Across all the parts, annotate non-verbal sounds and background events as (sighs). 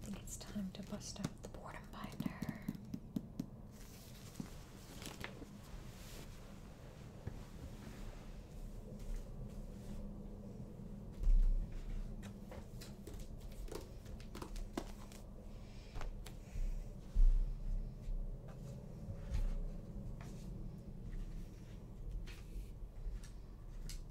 I think it's time to bust out the boredom binder.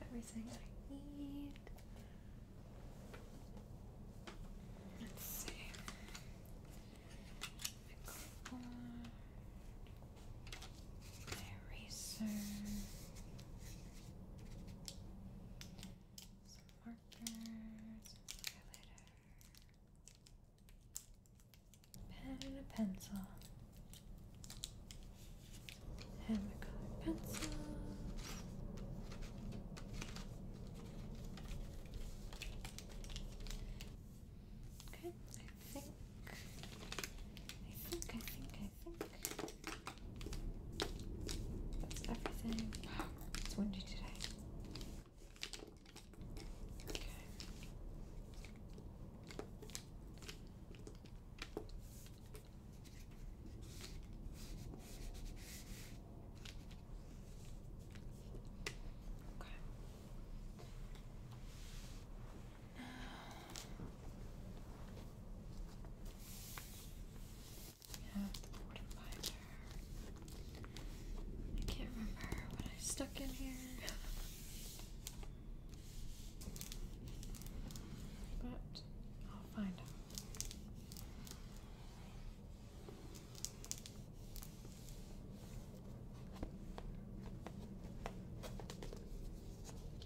I have everything I need. Let's see. I got eraser, some markers, some highlighter, pen and a pencil, Hammercolored pencil. Okay, I think, I think, I think that's everything. It's windy today. Okay. Okay. Now I can't remember what I stuck in here. But I'll find out.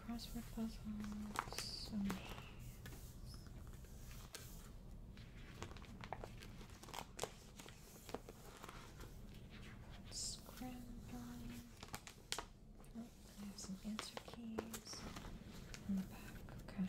Crossword puzzles. So many. Oh, I have some answer keys in the back. Okay.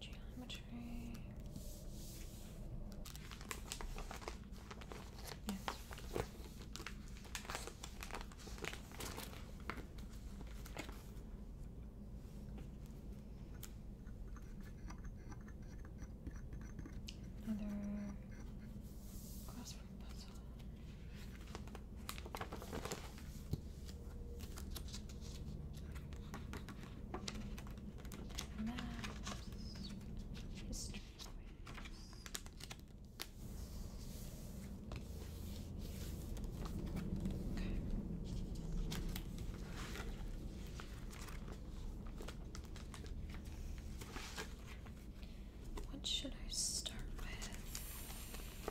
Geometry. Yes. Another crossword puzzle. Maps. History What should I start with?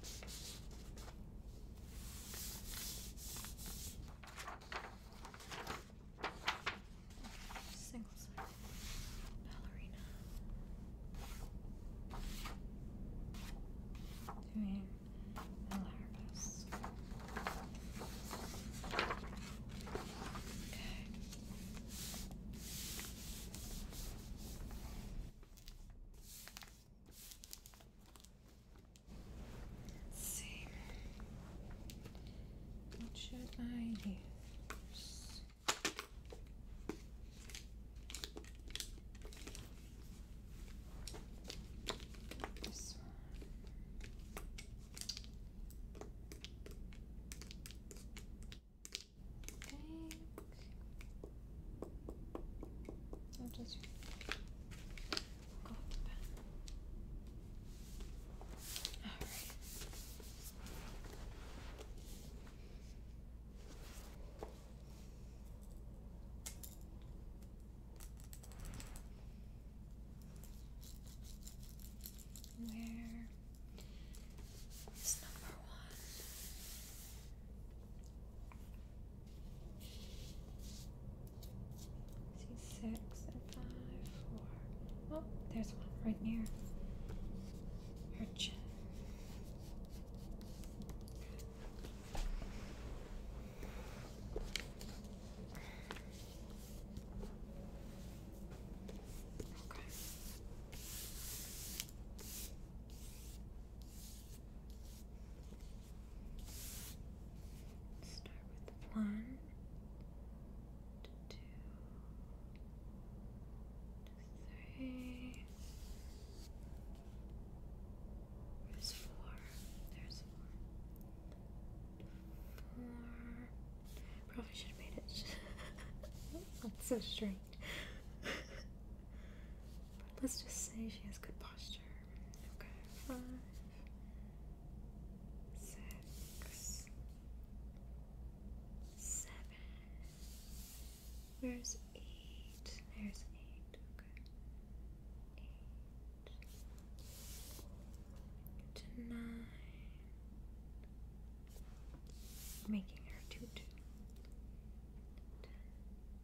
Single side ballerina. Doing Malaris. Okay. Let's see. What should I do? This one. I'll just go with Alright. Where is number one? see six and five, four. Oh, there's one right near your chin. Okay. Start with one There's four. There's four. Four. Probably should have made it. Not (laughs) so strange. Let's just say she has good posture. Okay, five, six, seven. Where's eight? There's eight. Okay, eight nine. Making her two two.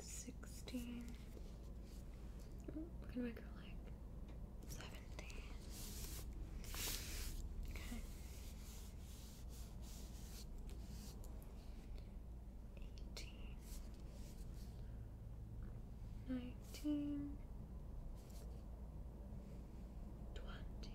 sixteen. can oh, I go like seventeen? Okay. Eighteen. Nineteen. Twenty.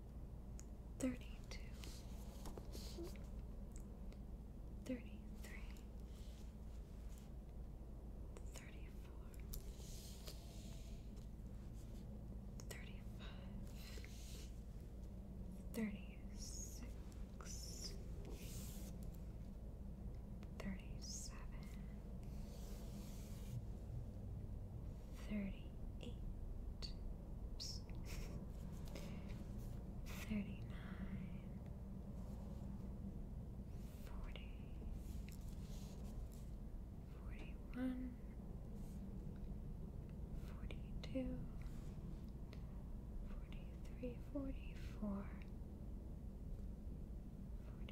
Thirty-two, thirty-three, thirty-four, thirty-five, thirty-six, thirty-seven thirty-eight, thirty-nine, forty, forty-one, forty-two, forty-three, forty-four, forty-five.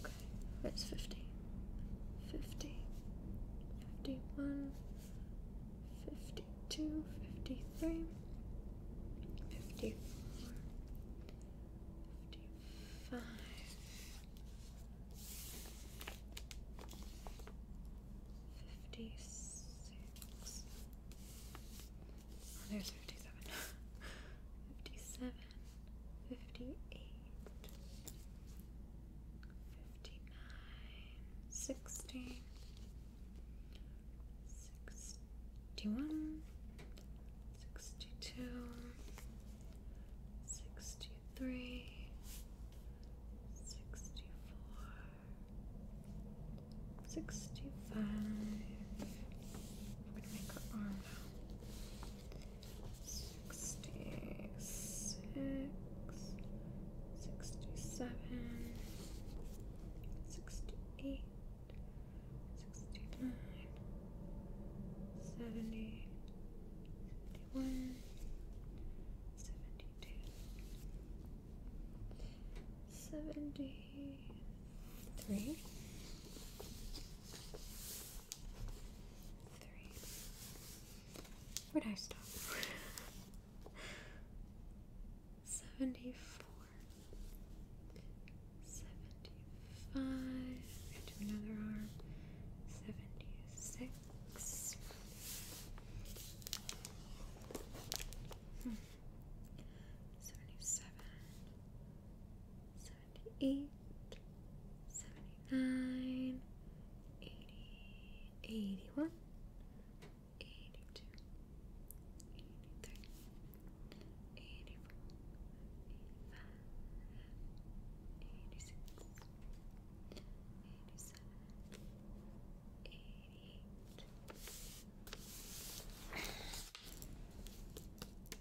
Okay, it's 50, 50, 51, 52, 53, 54, 55. Fifty six. Oh, there's fifty seven. (laughs) fifty seven. 58, 59, 61, 62, 63, 64, 65. 66, 67, 68, 69, 71, 73 three. Where'd I stop? (laughs) Seventy four. Seventy five. Into another arm. Seventy six. Hmm. Seventy seven. 76 77 78, 79, 80, 81, 82, 83, 84, 85, 86, 87, 88.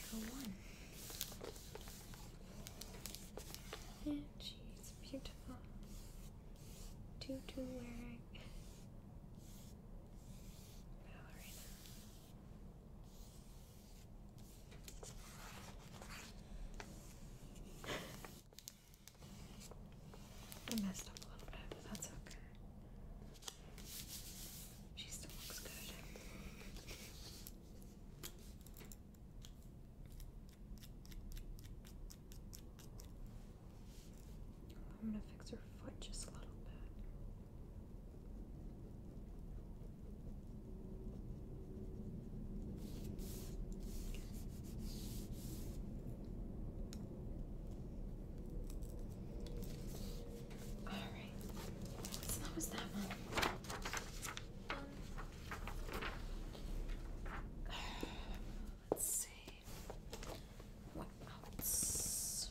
Two one. And she's beautiful. Tutu wearing ballerina. I messed up a little bit, but that's okay. She still looks good. I'm gonna fix her foot just a little bit. All right. So that was that one. let's see. What else?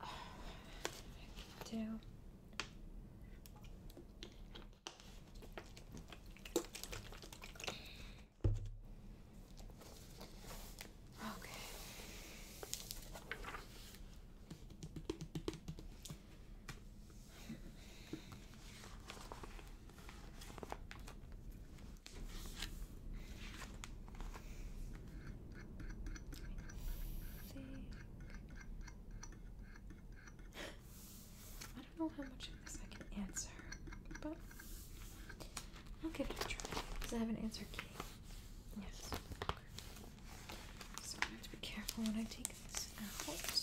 Uh, (sighs) I don't know how much of this I can answer, but I'll give it a try because I haven't answered Katie. Yes. So I have to be careful when I take this out.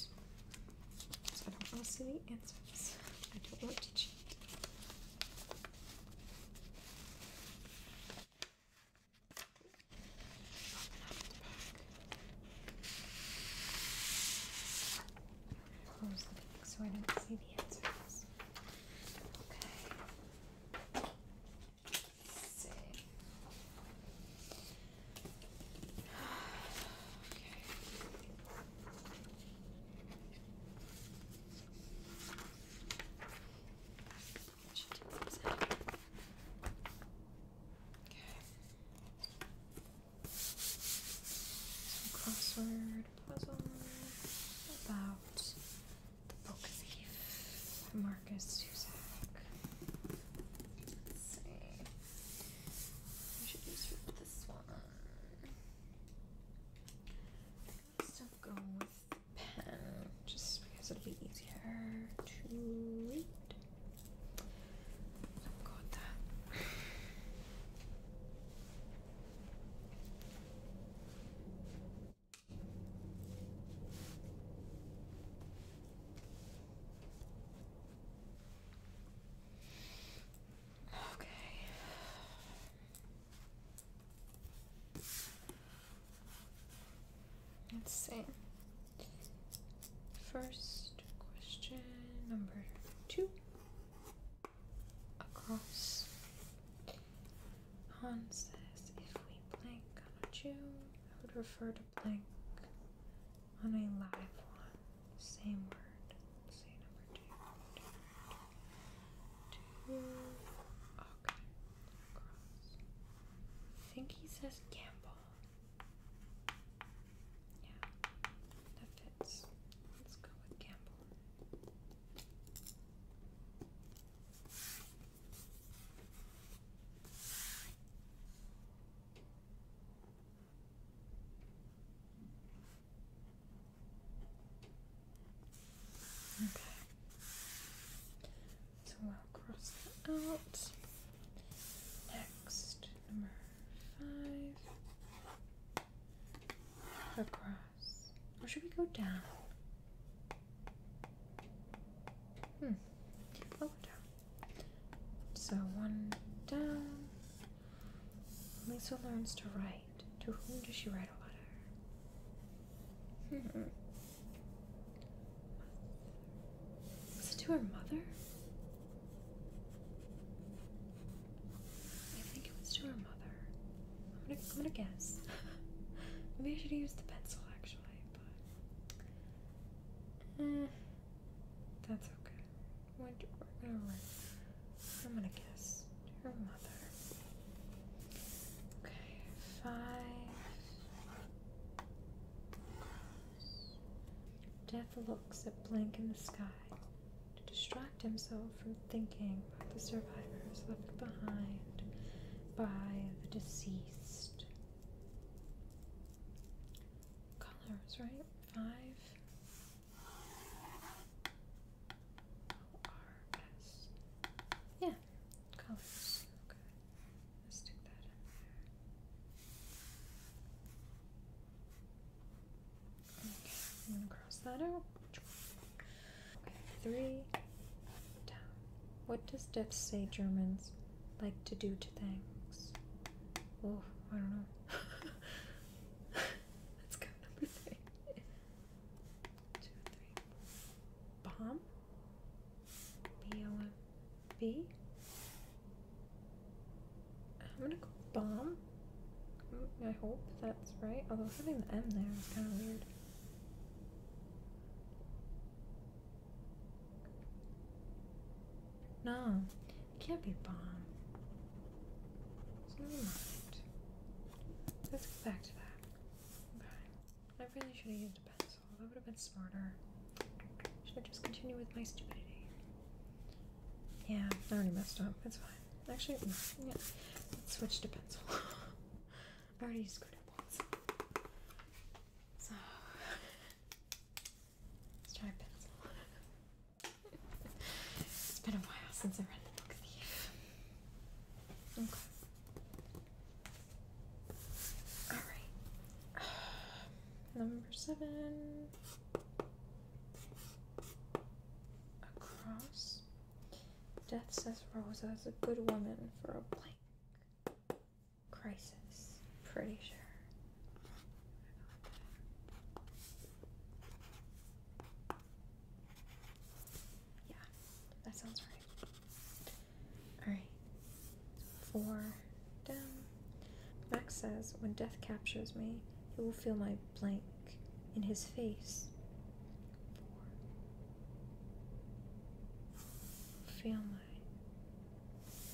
So I don't want to see the answers. I don't want to cheat. Close the back so I don't see the answers. Okay. Okay. Some crossword puzzle about the book thief, Marcus Zuzak. Let's see. should just this one. I'm with pen, just because it'll be easier to read. So that. Okay. Let's see. First question number two. Across Han says, if we blank on a Jew, I would refer to blank on a live one. Same word. Say number two. Two. Okay. Cross. I think he says gamble. Yeah, that fits. Let's go with Campbell. Okay. So I'll cross that out. Next, number five. Across. Or should we go down? Hmm. we down. So one down. Lisa learns to write. To whom does she write a letter? Hmm. Is it to her mother? I think it was to her mother. I'm gonna, guess. (laughs) Maybe I should use the pencil actually, but eh, that's okay. We're gonna write. I'm gonna guess her mother. Okay, five. Death looks at blank in the sky to distract himself from thinking the survivors left behind by the deceased. Colors, right? Five. O R S. Yeah, colors. Okay, I'm gonna cross that out. Three down. What does death say Germans like to do to things? Oh, I don't know. Let's go number three. Two, three. Bomb? B O M B? I'm gonna go bomb. I hope that's right. Although having the M there is kind of weird. No, it can't be bomb. So never mind. Let's go back to that. Okay. I really should have used a pencil. That would have been smarter. Should I just continue with my stupidity? Yeah, I already messed up. That's fine. Actually, yeah. Let's switch to pencil. (laughs) I already screwed up once. So (laughs) let's try a pencil. it's been a while since I read the book Thief. Okay. Alright. (sighs) Number seven. Across Death says Rosa is a good woman for a blank crisis. Pretty sure. Yeah, that sounds right. Alright. Four down. Max says, when death captures me, he will feel my blank in his face four. Feel my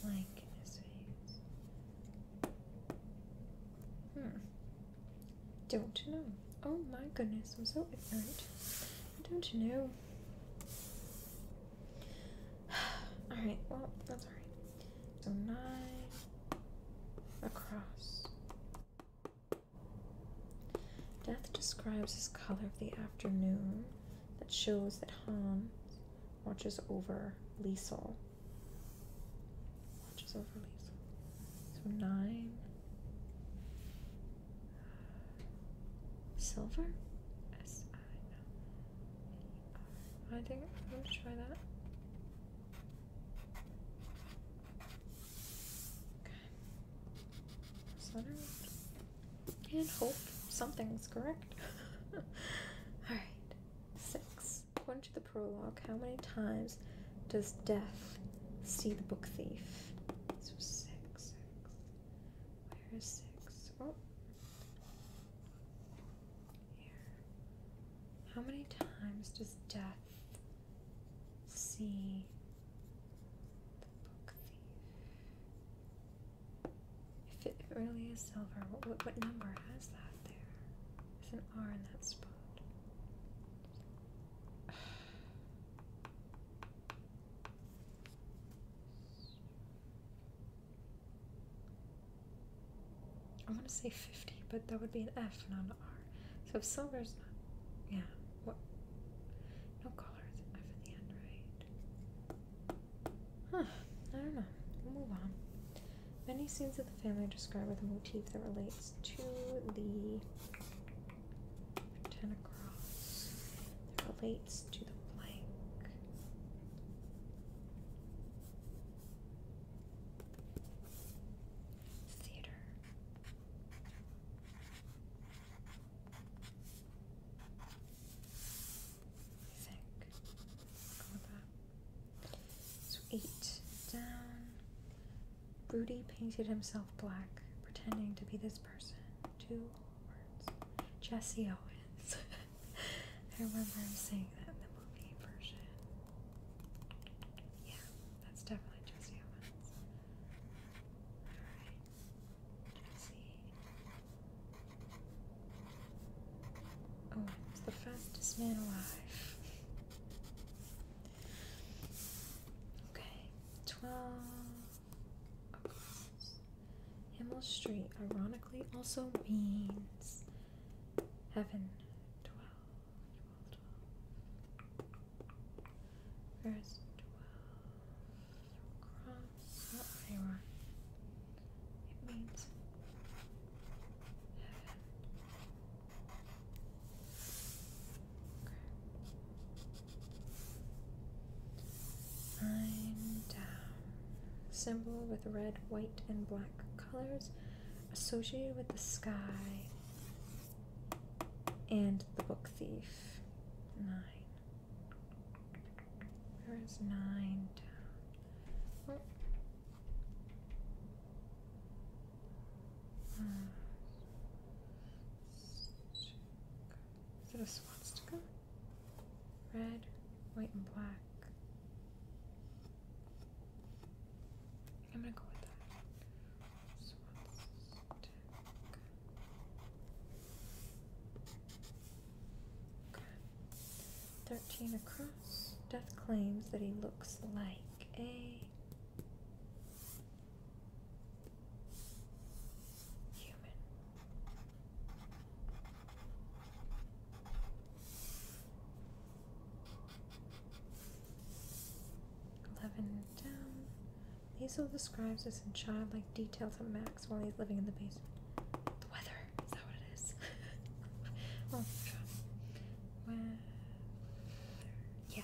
blank Hmm. Don't know. Oh my goodness, I'm so ignorant. Don't you know? (sighs) Alright, well, that's alright. So nine across. Death describes as color of the afternoon that shows that Hans watches over Liesel. Watches over Liesel. So nine. Silver? S I L. I think I'm going to try that. And hope something's correct. (laughs) Alright. Six. According to the prologue, how many times does death see the book thief? So six, six. Where is six? Oh. Here. How many times does death see if it really is silver, what, what number has that there? There's an R in that spot. (sighs) I want to say 50, but that would be an F, not an R. So if silver's not. Yeah, what? No colors F at the end, right? Huh. I don't know. move on. Many scenes of the family describe with a motif that relates to the pretend cross that relates to the blank. Theater. I So eight down. Broody painted himself black, pretending to be this person. Two words. Jesse Owens. (laughs) I remember him saying that in the movie version. Yeah, that's definitely Jesse Owens. Oh, it's the fastest man alive. Okay, 12. Himmel Street, ironically, also means heaven. 12, 12, 12. Cross not It means heaven. Nine down. Symbol with red, white, and black colors associated with the sky and the book thief. Nine. Where is nine down? is it a swastika? Red, white, and black. I'm gonna go with that. Thirteen across. Death claims that he looks like a human. Eleven down. Liesel describes this in childlike detail to Max while he's living in the basement. The weather, is that what it is? (laughs) Oh, yeah.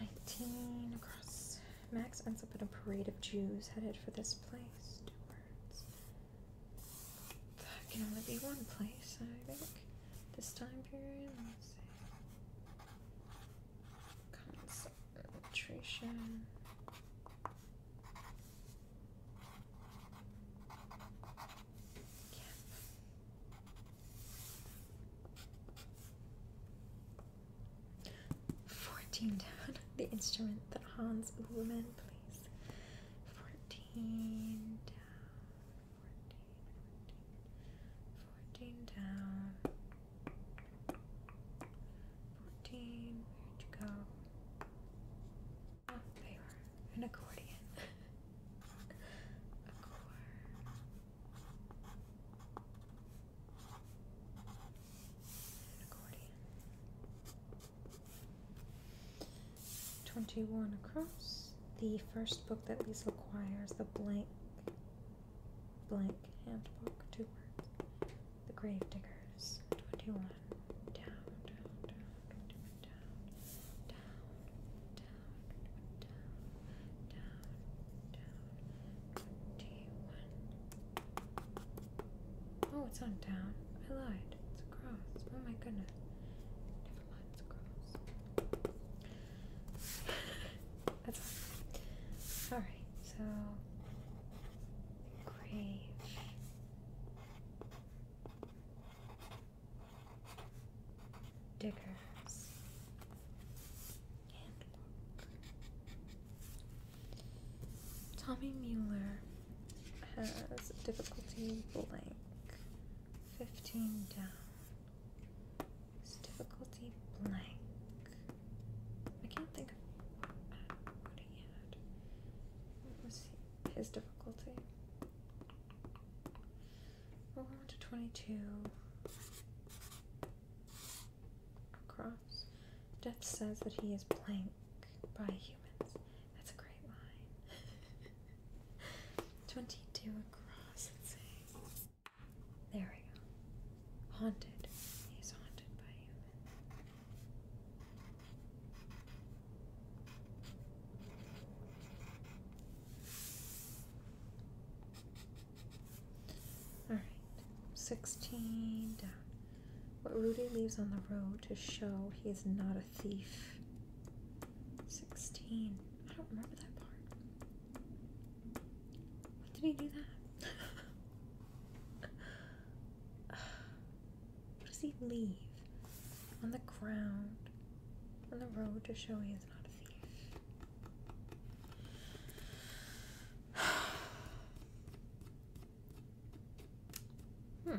Nineteen across. Max ends up in a parade of Jews headed for this place. That can only be one place, I think. This time period. Concentration. 14 down. The instrument that Hans Ullman plays. 14 down. 14, 14, 14 down. 14. Where'd you go? Oh, there you are. An accordion. (laughs) Accord. Twenty-one across. The first book that Lisa acquires, the blank, blank handbook, two words. The Grave Diggers. Twenty-one. Down, down, down, down, down, down, down, down, twenty-one. Oh, it's on down. I lied. It's across. Oh my goodness. Never mind, across. (laughs) That's Alright, so. Grave. Diggers. Tommy Mueller has difficulty blank. 15 down. It's difficulty blank. I can't think of what he had. What was he, his difficulty? We're going to 22. Across. Death says that he is blank by humans. That's a great line. (laughs) 22 across, let There we go. Haunted. He's haunted by humans. Alright. 16 down. What Rudy leaves on the road to show he is not a thief. 16. I don't remember that part. What did he do that? (laughs) what does he leave? On the ground. On the road to show he is not a thief. (sighs) (sighs) (sighs) Hmm.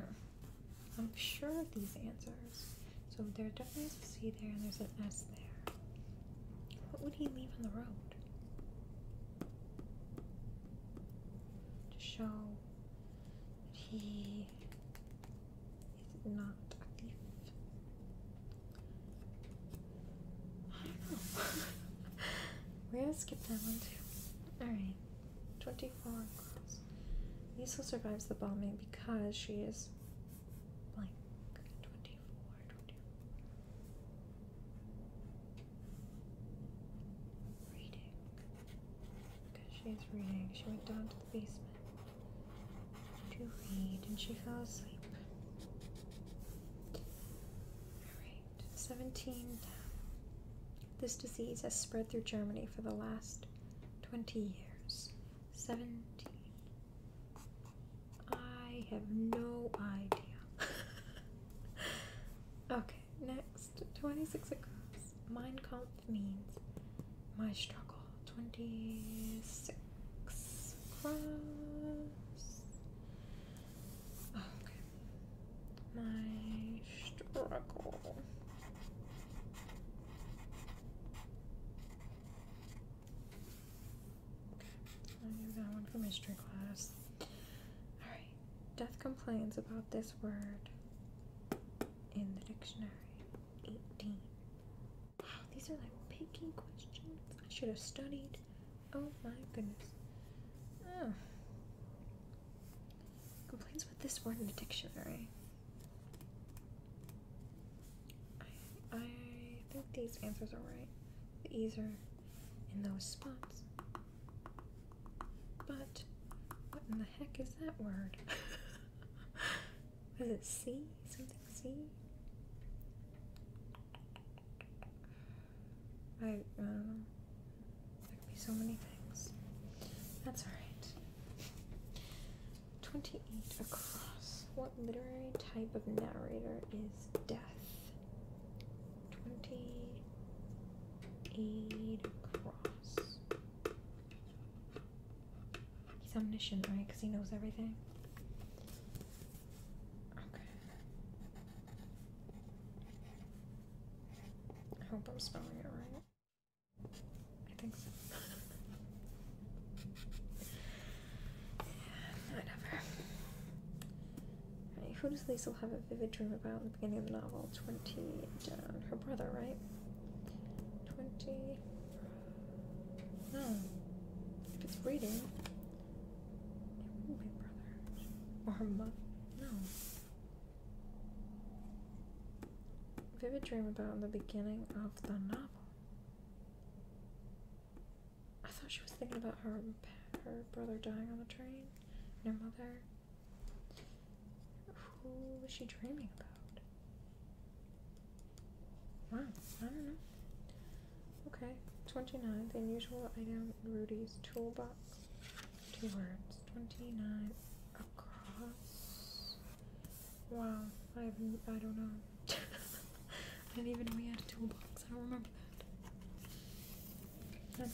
I'm sure of these answers. So there definitely is a C there and there's an S there. What would he leave on the road? To show that he is not a thief. I don't know. (laughs) We're gonna skip that one too. Alright. 24 girls. Lisa survives the bombing because she is blank. 24, 24. Reading. Because she is reading. She went down to the basement to read and she fell asleep. Alright, 17 this disease has spread through Germany for the last 20 years. 17. I have no idea. (laughs) okay, next. 26 across. Mein Kampf means my struggle. 26 across okay. My struggle. Okay, i do that one for mystery class. Alright, death complains about this word in the dictionary. 18. Wow, these are like picky questions. I should have studied. Oh my goodness. Oh. Complaints with this word in the dictionary. I, I think these answers are right. The E's are in those spots. But what in the heck is that word? Was (laughs) it C? Something C? I, don't know. There could be so many things. That's alright. 28 across. What literary type of narrator is death? 28 across. He's omniscient, right? Because he knows everything. Okay. I hope I'm spelling it right. I think so. (laughs) yeah, whatever. Right, who does Liesel have a vivid dream about in the beginning of the novel? 20 down. Uh, her brother, right? 20. No. If it's reading, it wouldn't be brother. Or her mother. No. Vivid dream about in the beginning of the novel. I thought she was thinking about her her brother dying on the train and her mother. Who was she dreaming about? Wow, I don't know. Okay, 29, the unusual item in Rudy's toolbox. Two words. Twenty-nine across. Wow, I have I don't know. I (laughs) didn't even know we had a toolbox. I don't remember that.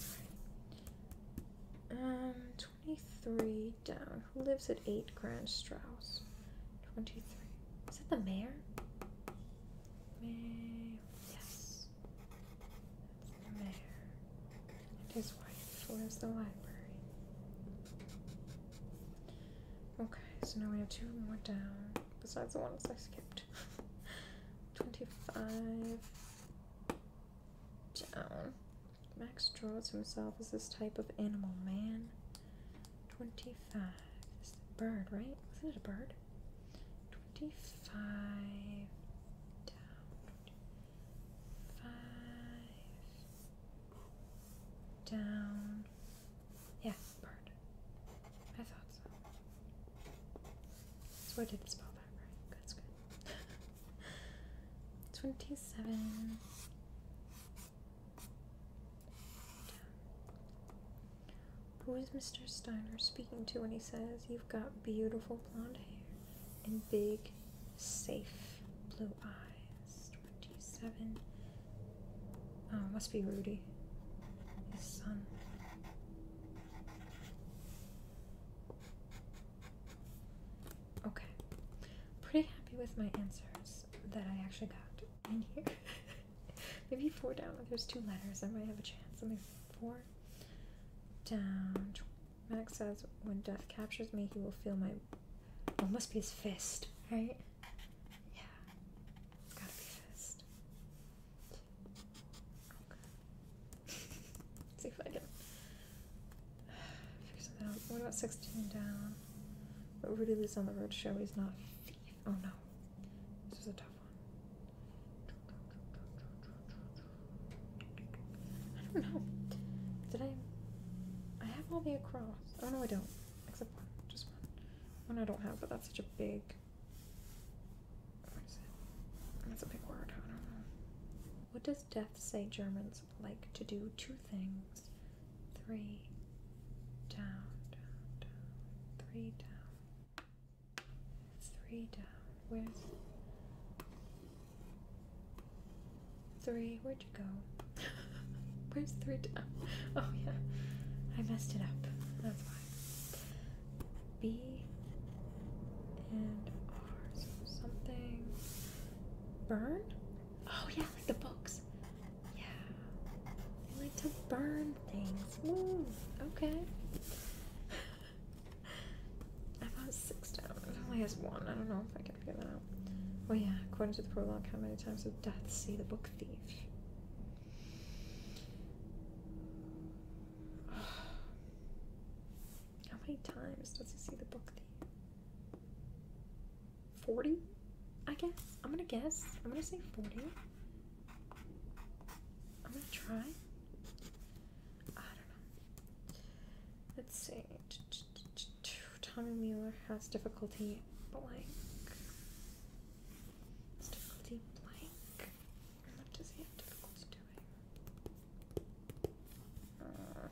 Um, twenty-three down. Who lives at eight Grand Strauss? Twenty-three. Is that the mayor? Mayor. Yes and the mayor and his wife, lives the library. Okay, so now we have two more down, besides the ones I skipped. (laughs) 25 down. Max draws himself as this type of animal man. 25. Is the bird, right? Wasn't it a bird? 25 down five, down. Yeah, bird. I thought so. So I did spell that right. That's good. (laughs) 27. Who is Mr. Steiner speaking to when he says, You've got beautiful blonde hair and big, safe blue eyes. 27. Oh, must be Rudy, his son. Okay, pretty happy with my answers that I actually got in here. (laughs) Maybe four down. If there's two letters, I might have a chance. Let four down. Max says, when death captures me, he will feel my. Well, must be his fist, right? Yeah. gotta be fist. Okay. (laughs) see if I can figure something out. What about 16 down? But Rudy lives on the road show. He's not Oh no. This is a tough one. I don't know. Did I? I have all the across. Oh no, I don't. Except one. Just one. One I don't have, but that's such a big. What is it? That's a big word. I don't know. What does death say Germans like to do? Two things. Three down, down, down. Three down. Three down. Where's three? Where'd you go? (laughs) Where's three down? (laughs) Oh, yeah. I messed it up. That's why. B and R. something. Burn? Oh, yeah, like the books. Yeah. They like to burn things. Okay. (laughs) I thought it's six down. It only has one. I don't know if I can figure that out. Oh yeah, according to the prologue, how many times does Death see the book thief? (sighs) How many times does he see the book thief? 40? I guess. I'm gonna guess. I'm gonna say 40. I'm gonna try. I don't know. Let's see. Tommy Mueller has difficulty blank. difficulty blank. does he have difficulty doing? Uh.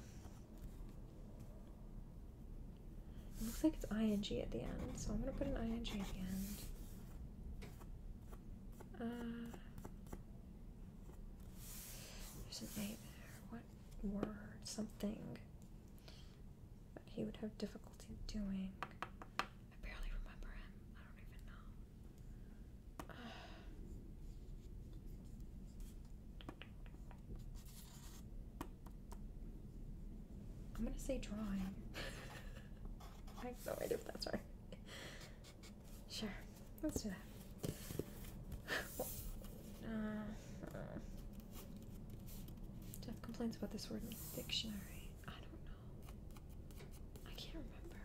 it looks like it's ing at the end, so I'm gonna put an ing at the end. Uh, there's an A there. What word? Something that he would have difficulty doing. I barely remember him. I don't even know. (sighs) I'm gonna say drawing. (laughs) I have no idea if that's right. Sure, let's do that. uh, Jeff complains about this word in the dictionary. I don't know. I can't remember.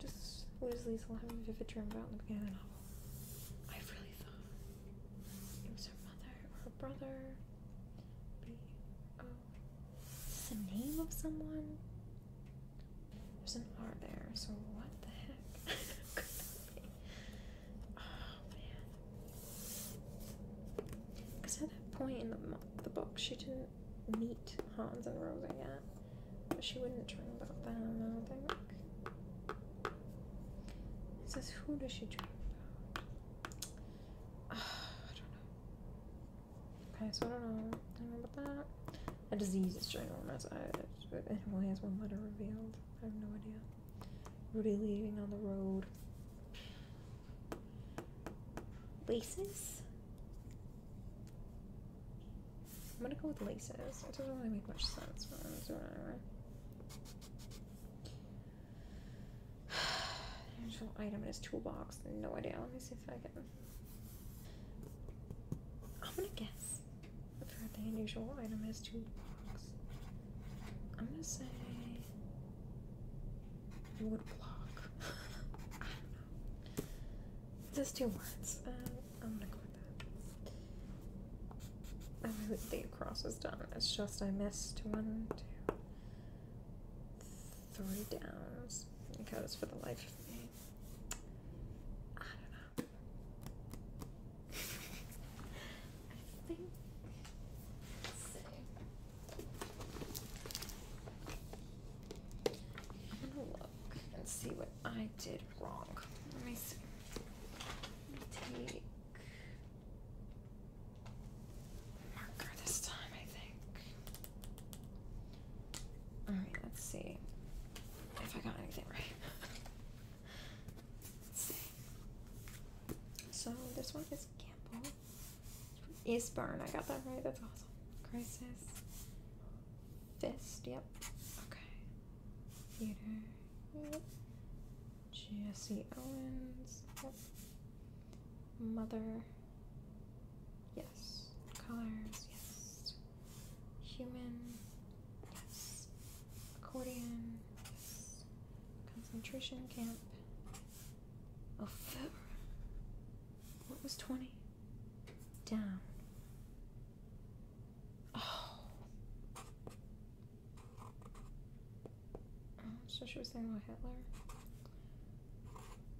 Just lose Lisa will have a vivid dream about in the beginning of the novel. I really thought it was her mother or her brother. B O. the name of someone? There's an R there, so what the heck? (laughs) Oh man. Because at that point in the, the book, she didn't meet Hans and Rosa yet. But she wouldn't dream about them, I don't think. It says, who does she dream about? (sighs) I don't know. Okay, so I don't know. I don't know about that. A disease is ginormous. I, it only has one letter revealed. I have no idea. Rudy leaving on the road. Laces? I'm gonna go with laces. It doesn't really make much sense, Natural item in his toolbox. No idea. Let me see if I can. I'm gonna guess the unusual item in his toolbox. I'm gonna say wood block. (laughs) Just two words. Uh, I'm gonna go with that. I really think cross is done. It's just I missed one, two three downs because for the life of me, I don't know. (laughs) I think. Let's see. I'm gonna look and see what I did wrong. Let me take marker this time, I think. Alright, let's see if I got anything right. (laughs) let's see. So, this one is Campbell. Eastburn. I got that right. That's awesome. Crisis. Fist. Yep. Okay. Theater. Jesse Owens. Mother. Yes. Colors. Yes. Human. Yes. Accordion. Yes. Concentration camp. Oh, what was 20? Down. Oh. Oh, so she was saying about Hitler.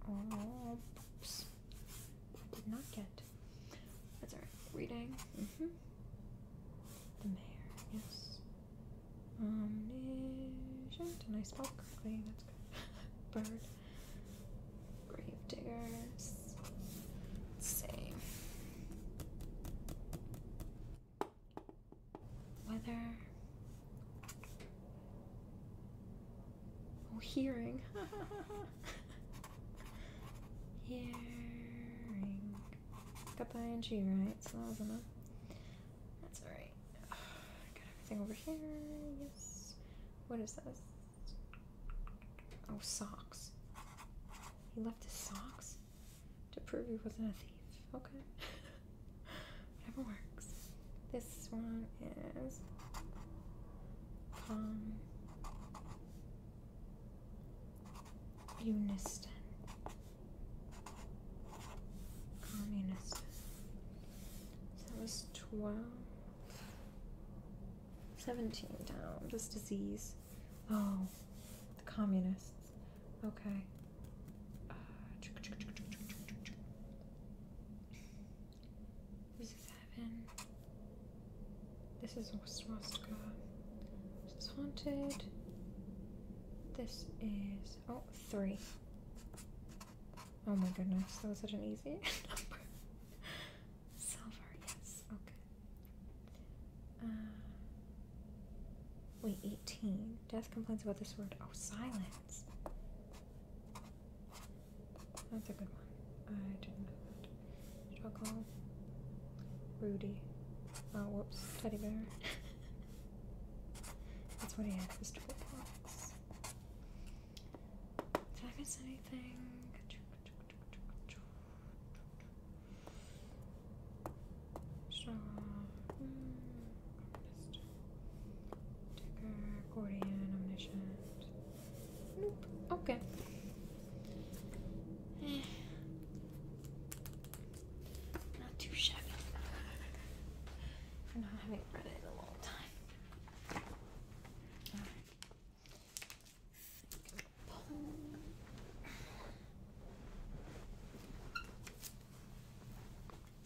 Oh, oops. I did not get. That's alright. Reading. Mm hmm. The mayor, yes. Omniscient. Nice, I spell That's good. (laughs) Bird. Grave diggers. Same. Weather. Oh, hearing. (laughs) hearing. Got the ing right, that That's alright. (sighs) Got everything over here. Yes. What is this? Oh, socks. He left his socks to prove he wasn't a thief. Okay. (laughs) Whatever works. This one is Palm Communist. that was 12. 17 down. This disease. Oh, the communists. Okay this is seven. This is This is haunted. This is oh three. Oh my goodness, that was such an easy number. Silver, yes, okay. Wait, 18. Death complains about this word. Oh, silence. That's a good one. I didn't know that. Rudy. Oh, whoops. Teddy bear. (laughs) That's what he had, was triple points. Did I anything? Strong. Artist. accordion, omniscient. Nope. Okay. Eh. Not too shabby. For not having read it in a long time.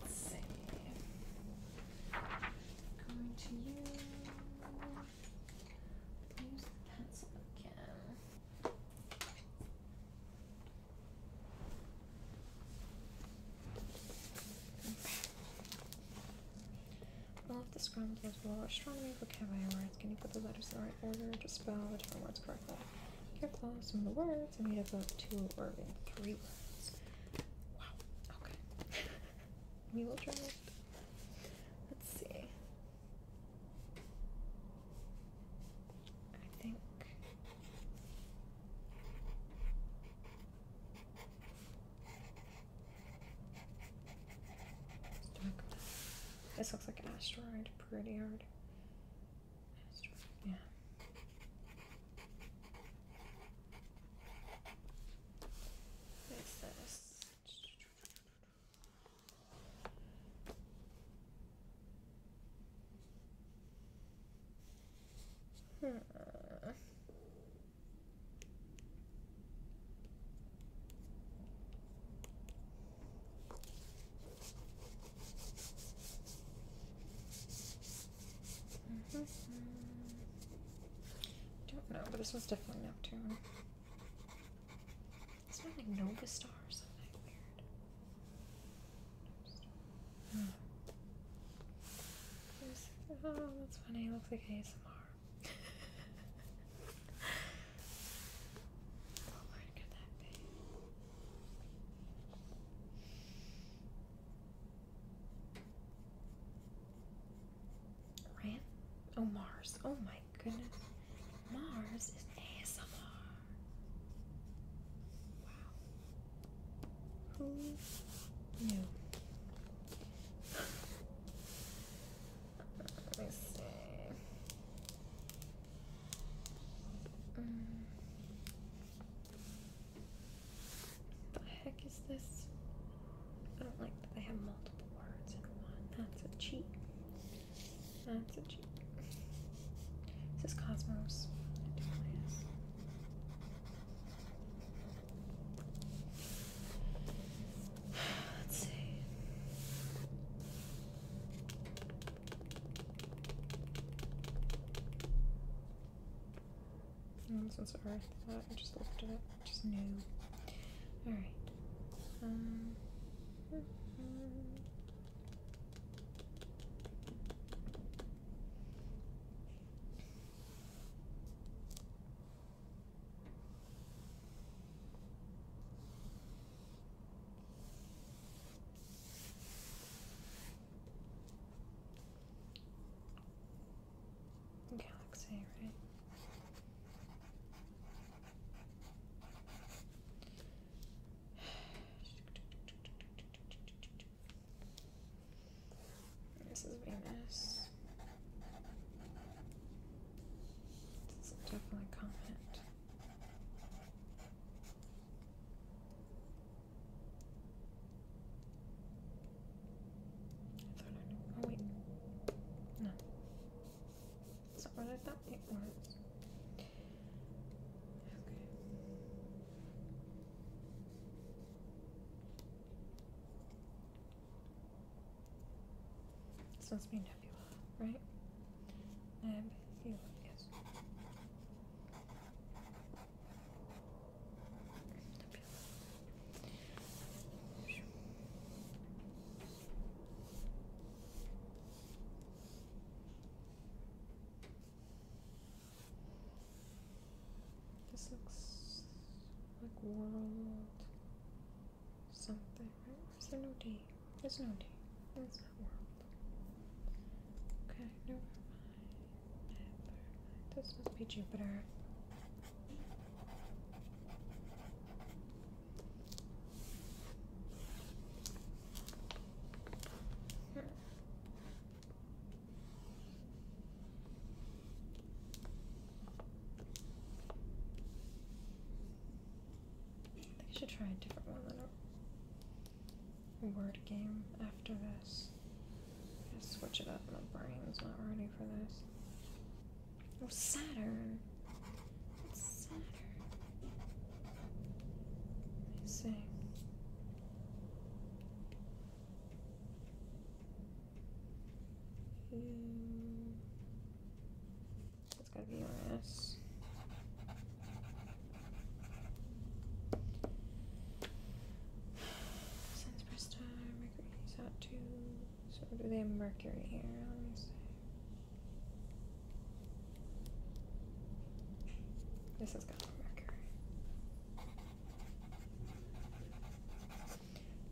Let's see. Going to you. Use the pencil again. Okay. All of this comes as well astronomy vocabulary words. Can you put the letters in the right order to spell the different words correctly? Get close. Some of the words are made up of two or even three words. Wow. Okay. (laughs) we will try it. Let's see. I think this looks like an asteroid, pretty hard. yeah. What is this? Hmm. I Don't know, but this one's definitely Neptune. It's not like Nova Star or something weird. Hmm oh, that's funny. looks like ASMR. oh, could that be? Ram? Oh, Mars. Oh, my goodness. Mars is ASMR. Wow. Who knew? Let me see. Mm. What the heck is this? I don't like that they have multiple words in one. That's a cheat. That's a cheat. This is Cosmos. Let's see. Oh, this one's Earth. I just looked at it. Just knew. All right. Um. Galaxy, right? (sighs) (sighs) This is Venus. This definitely a Oh, wait. No. It's not what I thought it was. Okay. This must be Nebula, right? Nebula, yes. This looks like world something, right? Is there no D? There's no D. That's not world. Okay, never mind. Never mind. This must be Jupiter. Hmm. I think I should try a different one than a word game after this. Just switch it up. My brain's not ready for this. Oh, Saturn. Saturn. Let me see. That's gotta be my ass. Sun's Mercury's out too. So do they have Mercury here? Let me see. This is gonna be Mercury.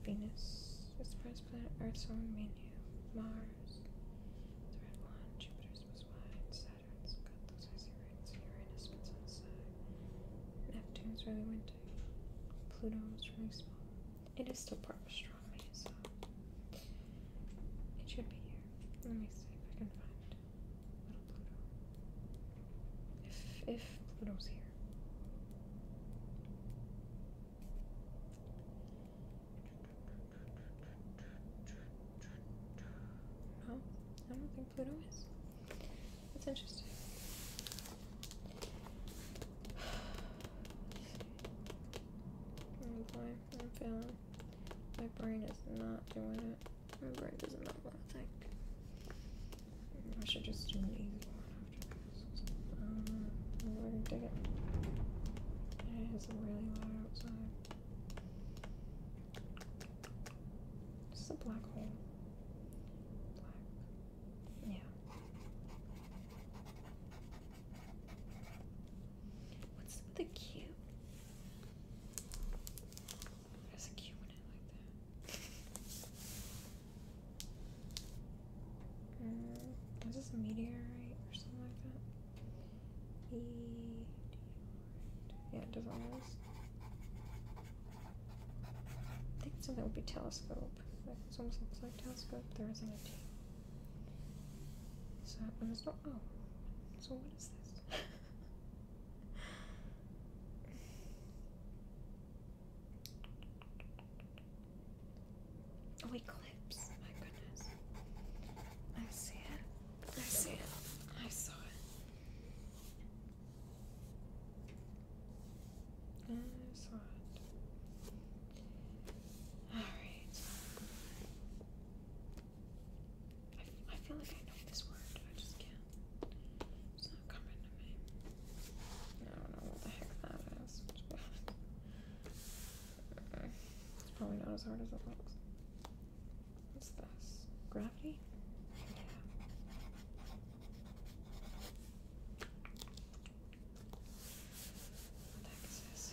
Venus, its first planet, Earth's on Venus, Mars, the red one, Jupiter's was wide, Saturn's got those icy rings, Uranus spins on Neptune's really windy. Pluto's really small. It is still part of astronomy, so it should be here. Let me see if I can find little Pluto. If if Pluto's here. No, I don't think Pluto is. That's interesting. Oh (sighs) boy, I'm failing. My brain is not doing it. My brain doesn't know what to think. I should just do an easy one after this. Um, uh, I already did it. It is really loud outside. This a black hole. Black. Yeah. What's the Q? There's a Q in it like that. Mm, is this a meteorite or something like that? Meteorite. Yeah, it does I think something would be telescope. It almost looks like telescope. There an. a T. So, and there's no. Oh. So, what is this? (laughs) Oh, eclipse. Oh, my goodness. I see it. I see it. I saw it. I saw it. Alright. I, I feel like I know this word. I just can't. It's not coming to me. I don't know what the heck that is. it's probably not as hard as it looks. What's this? Gravity? Yeah. What the heck is this?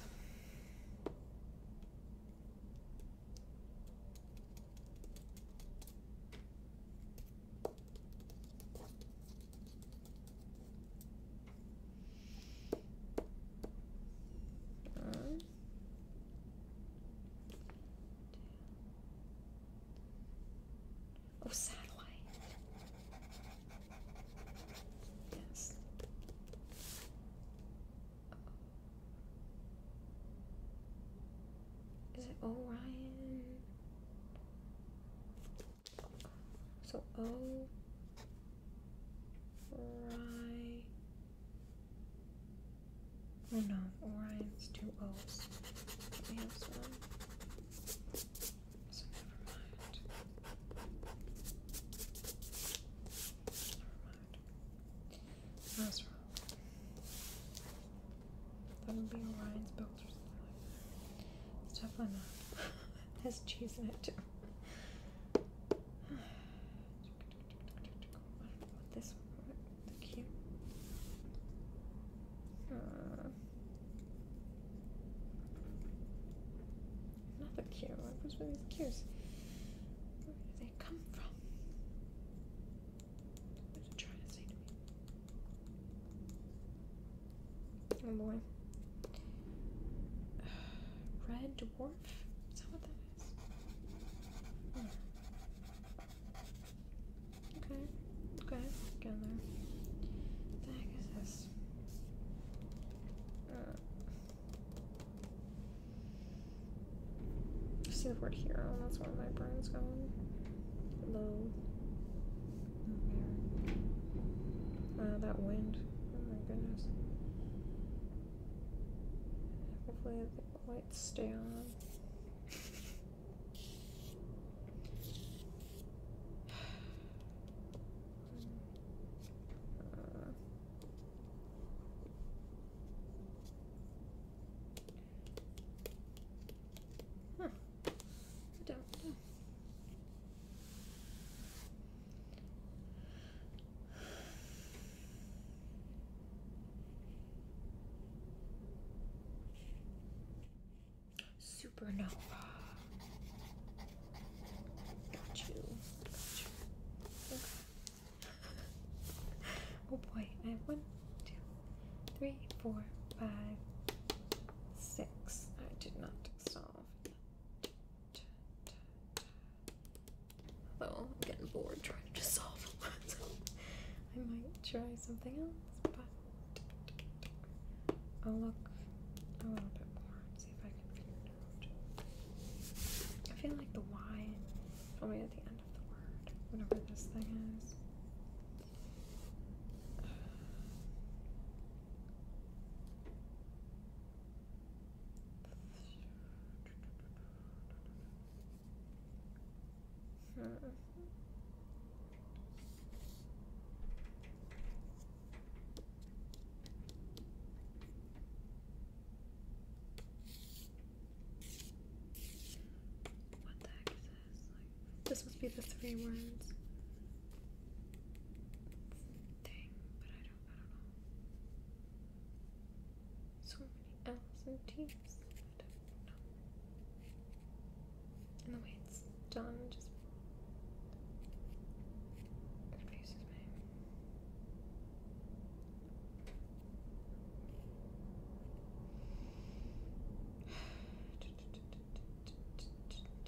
Uh, oh, satellite. Yes. Is it Orion? So O Ori Oh no, Orion's two O's. We have one. So never mind. Never mind. That's wrong. That would be Orion's McDonald's or It's definitely not. it (laughs) has cheese in it too. (sighs) this one the cute. Uh, not the cute What was with these cures? Where do they come from? Oh boy. (sighs) red dwarf? Is that what that is? Hmm. Okay. Okay. Get there. What the heck is this? Uh. see the word hero, that's where my brain's going. Low. Uh, that wind. Oh my goodness. Hopefully the lights stay on. Huh. (sighs) Hmm. don't Supernova. Got you. oh boy, I have one, two, three, four, five six. I did not solve Although I'm getting bored trying to solve a (laughs) I might try something else, but I'll look a little bit more and see if I can figure it out. I feel like the Y is probably at the end of the word, whatever this thing is. What the heck is this? must be the three words thing, but I don't, So many L's and T's. I don't know. And the way it's done just confuses me.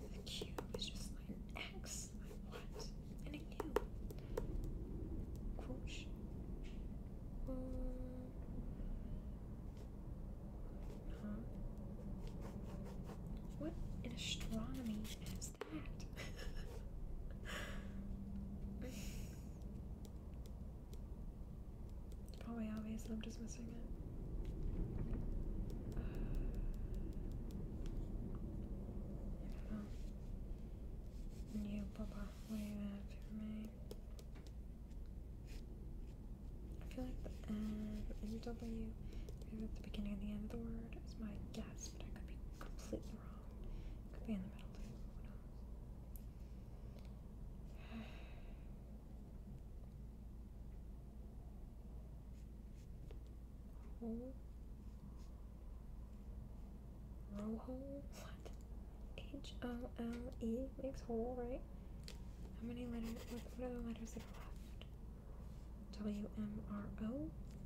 The cube is just like an X, like what? And a cube. Crunch. What in astronomy is that? (laughs) It's probably obvious and I'm just missing it. Uh, I Papa, what do you have for me? I feel like the N, W, at the beginning and the end of the word is my guess, but I could be completely is could be in the middle of Hole? Row hole? What? H O L E makes hole, right? How many letters? what are the letters that are left? W M R O?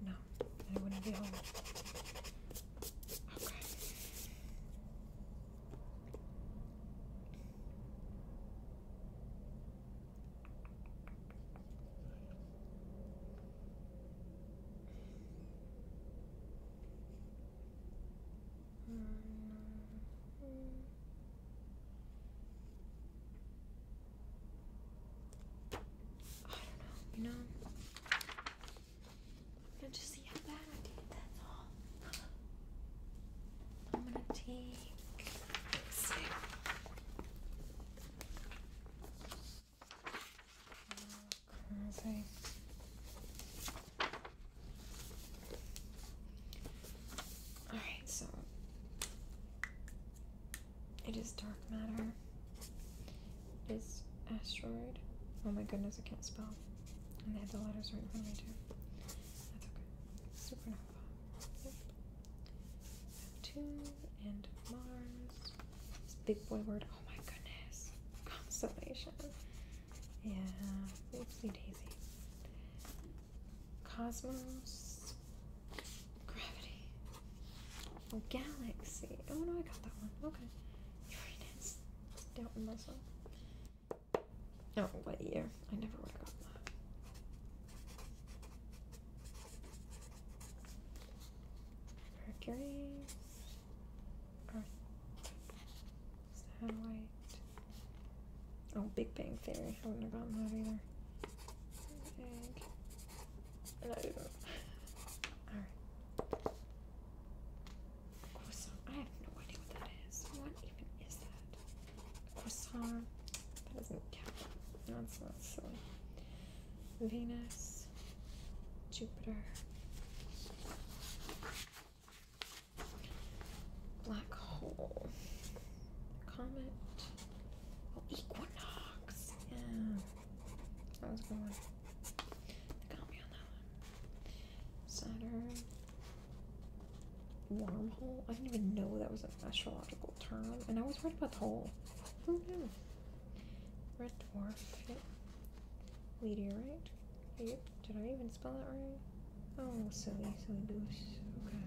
No, it wouldn't be hole. Okay. I don't know, you know? I'm gonna just see how bad I did, that's all. take Alright, so it is dark matter is asteroid. Oh my goodness, I can't spell. And they had the letters right in front of me too. That's okay. Supernova. Yep. Neptune and Mars. This big boy word. Oh my goodness. Constellation. Yeah. daisy. Cosmos. Gravity. Oh, galaxy. Oh no, I got that one. Okay. Uranus. Doubting myself. Oh, what year? I never would that. Mercury. Earth. Satellite. Oh, Big Bang Theory. I wouldn't have gotten that either. I didn't. Alright. Croissant. I have no idea what that is. What even is that? Croissant. That doesn't count. No, not silly. Venus. Jupiter. Black hole. Comet. Oh, equinox. Yeah. That was a one. They got me on that one. Saturn. Wormhole. I didn't even know that was an astrological term. And I was right about the hole. Who knew? Red dwarf. Yep. Meteorite. Yep. Did I even spell that right? Oh, silly, silly goose. Okay.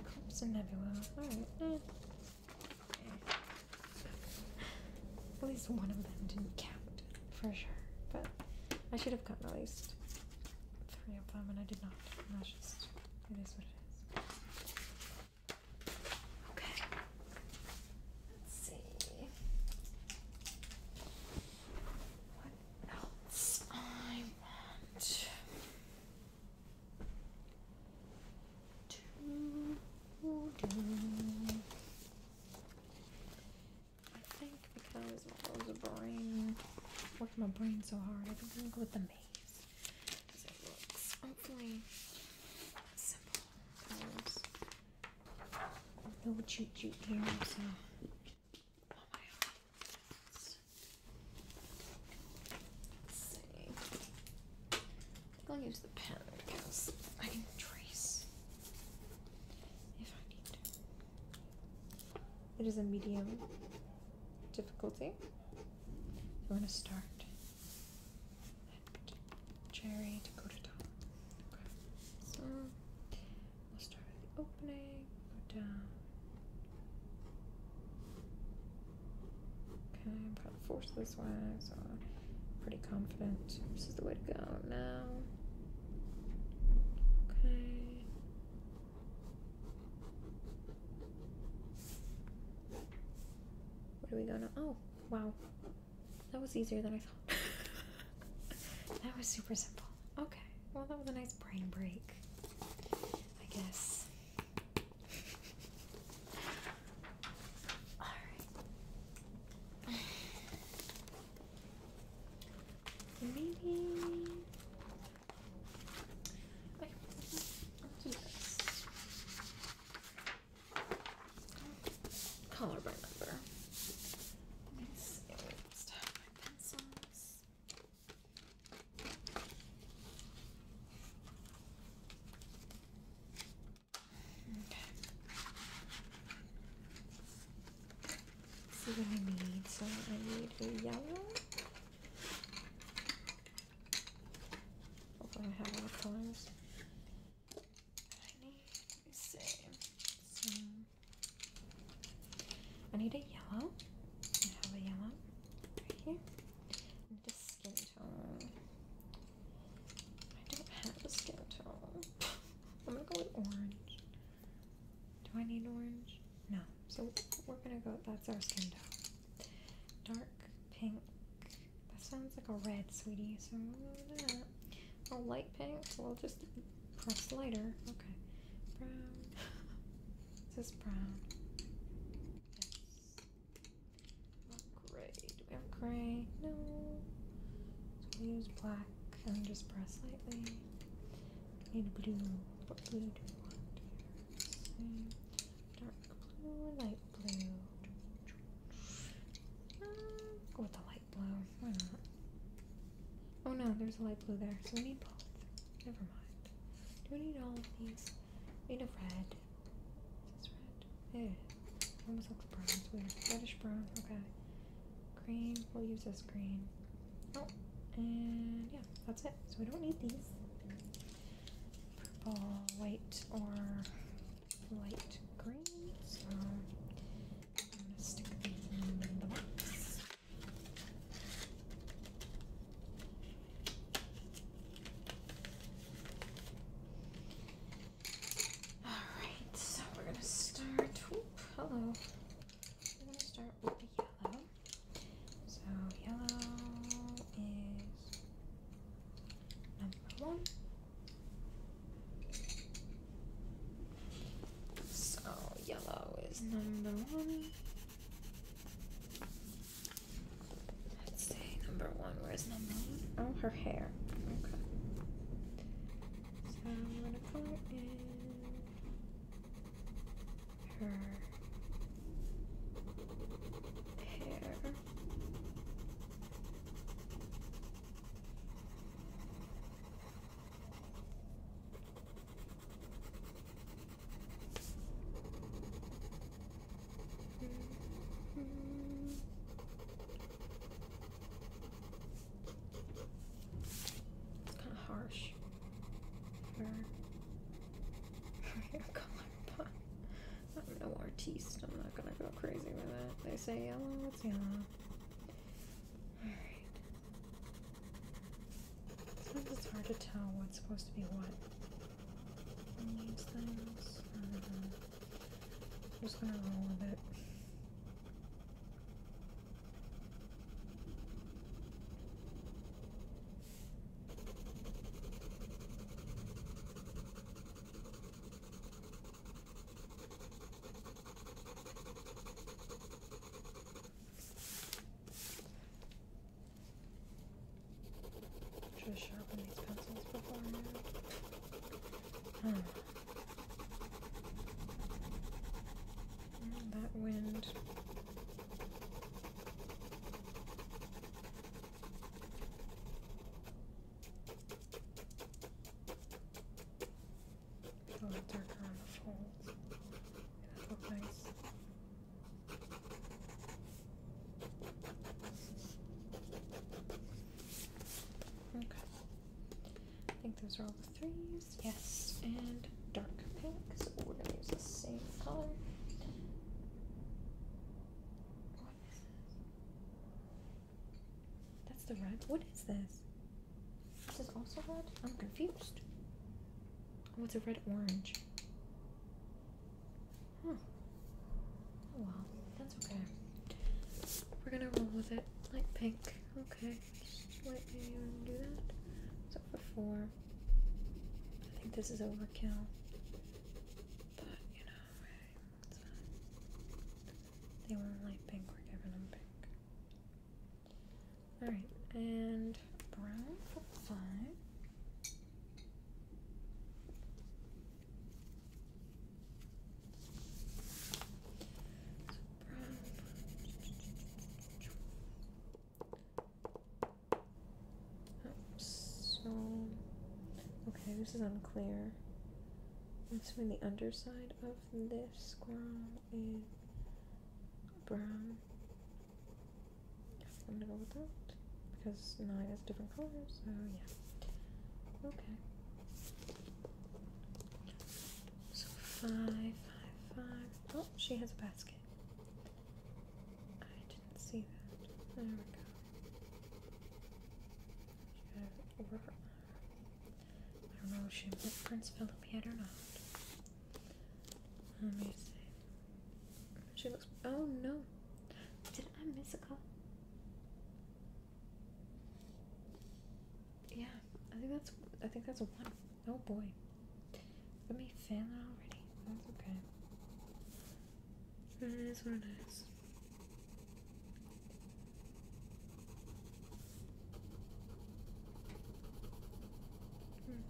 Eclipse and nebula. Alright. Eh. (laughs) at least one of them didn't count for sure, but I should have gotten at least three of them, and I did not. that's just it is what it is. Okay, let's see what else I want to do. I think because I was a brain, working my brain so hard, I think I'm gonna go with the maze. hopefully simple. No cheat sheet here, so. I I'll use the pen because I can trace it is a medium difficulty. we're gonna start and cherry to go to top. Okay. So we'll start with the opening, go down. Okay, I'm gonna force this one pretty confident this is the way to go now. Okay. Where do we go now? Oh, wow. That was easier than I thought. (laughs) that was super simple. Okay. Well, that was a nice brain break, I guess. (laughs) Alright okay, Color by number. Let's have my pencils. Okay. Let's see what need. So I need a yellow. Hopefully I have all colors. I need a yellow. I have a yellow right here. I skin tone. I don't have a skin tone. I'm gonna go with orange. Do I need orange? No. So we're gonna go, that's our skin tone. Dark pink. That sounds like a red, sweetie, so I'm gonna go that. A light pink, so I'll just press lighter. Okay. Brown. (laughs) this is brown. gray do we have gray? No. So we use black and just press lightly. We need blue. What blue do we want here? Same. Dark blue, light blue. go uh, with the light blue. Why not? Oh no, there's a light blue there, so we need both. Never mind. Do we need all of these? We need a red. this red? It is. Almost looks brown. weird. Reddish brown. Okay. Green. We'll use this green. Oh, and yeah, that's it. So we don't need these. Purple, white, or light green. So I'm gonna stick these in the box. Alright, so we're gonna start. hello. We're gonna start with the yellow. So yellow is number one. So yellow is number one. Let's say number one. Where's number one? Oh, her hair. Okay. So I'm gonna sound for in her hair. -hmm. It's kind of harsh for, hair (laughs) color, but I'm no artiste. I'm not gonna go crazy with it. They say yellow, it's yellow. Alright. Sometimes it's hard to tell what's supposed to be what on these things. I'm just gonna roll with it. Just sharpen these pencils before now. Hmm. Mm, that wind. Put a darker folds. look nice. Okay. I think those are all the threes. Yes, and dark pink, so we're going to use the same color. What is this? That's the red. What is this? This is also red? I'm confused. Oh, it's a red orange. Hmm. Oh well, that's okay. We're gonna roll with it. Light pink. Okay, just let do that. So for four, I think this is overkill. But you know, they won't like pink. We're giving them pink. All right, and brown for five. So, oh. okay, this is unclear. What's when the underside of this squirrel is brown? I'm gonna go with that because nine has different colors, so yeah. Okay. So five, five, five. Oh, she has a basket. I didn't see that. There we go. I don't know if she met Prince Philip yet or not. Let me see. She looks. Oh no! Did I miss a call? Yeah, I think that's I think that's a one. Oh boy. Let me fan already. That's okay. It is one, nice. Okay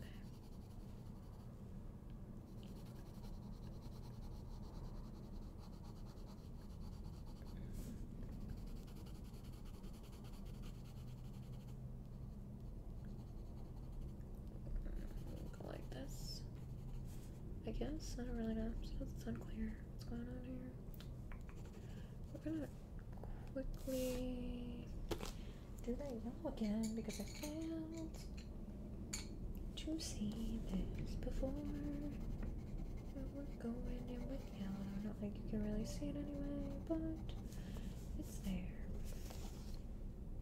like this. I guess I don't really know. It's unclear what's going on here. We're gonna quickly do that yellow again because I failed to see this before. we're going in with. I don't think you can really see it anyway, but it's there.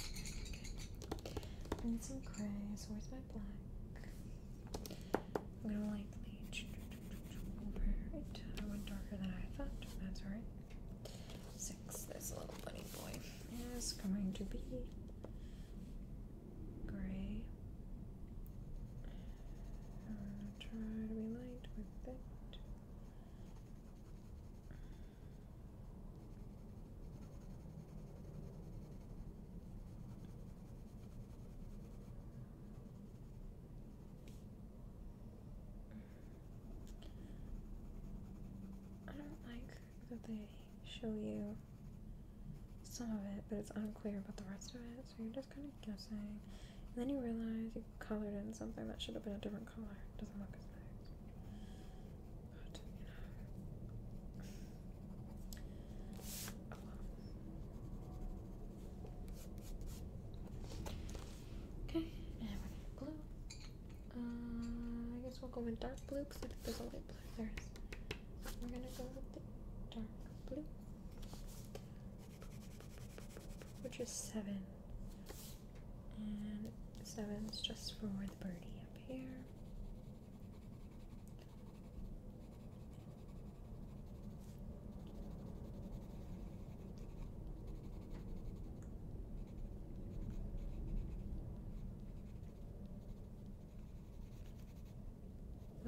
Okay. And some crayons. where's my black? I'm gonna lightly over it. I uh, went darker than I thought, that's alright. Six, There's a little bunny boy is going to be gray. Uh, try to be light with it. I don't like that they show you some of it, but it's unclear about the rest of it, so you're kind of guessing. then you realize you colored in something that should have been a different color. doesn't look as nice. Okay, and blue. Uh, I guess we'll go with dark blue because there's a light blue there is. We're gonna go with dark blue which is seven. And seven's just for the birdie up here.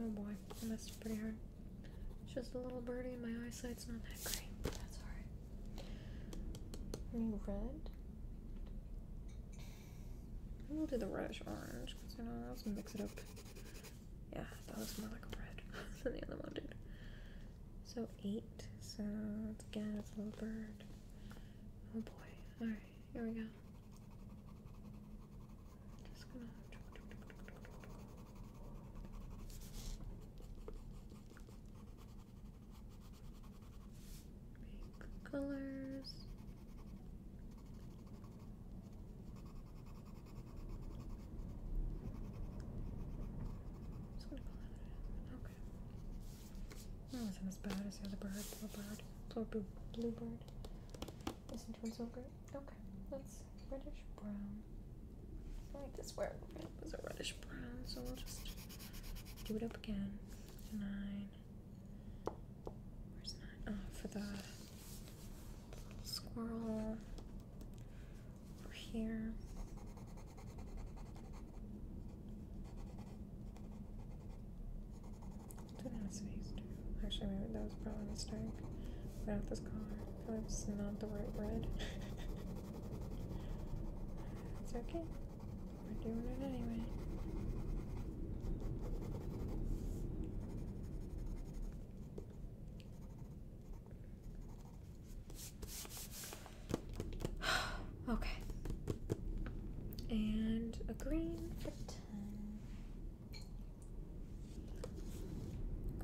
Oh boy, I messed pretty hard. Just a little birdie. My eyesight's not that great. that's alright. Any red? We'll do the reddish orange because you know let's mix it up. Yeah, that looks more like a red (laughs) than the other one did. So eight. So again it's a little bird. Oh boy. Alright, here we go. Just gonna. Make colors. Just gonna call it Okay. That wasn't as bad as the other bird. Blue bird. Blue, blue, blue bird. Isn't doing so great. Okay. Let's reddish brown. I like this where it was a reddish brown, so we'll just do it up again. Nine. Where's nine? Oh, for the squirrel over here. Do that on his face too. that probably a mistake. Without this color. That's not the right red. (laughs) it's okay. We're doing it anyway. (sighs) okay. And a green for 10.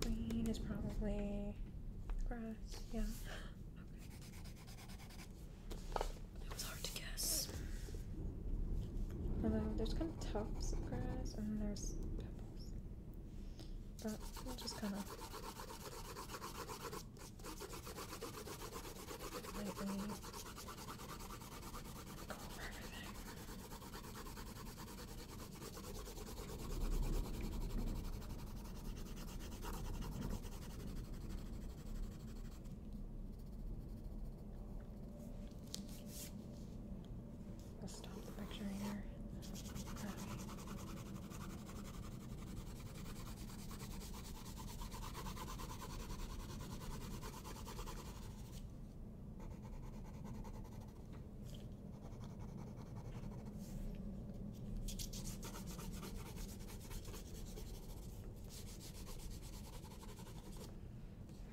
Green is probably grass, yeah. (gasps) Okay. was hard to guess. Although there's kind of tufts of grass and there's pebbles. But we'll just kind of go over everything. I'll stop the picture here. Okay.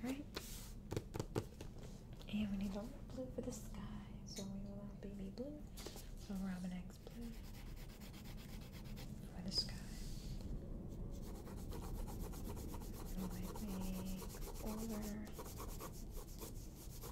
Right. And we need a little blue for the sky, so we will have baby blue, so Robin X blue for the sky. And I think over this guy.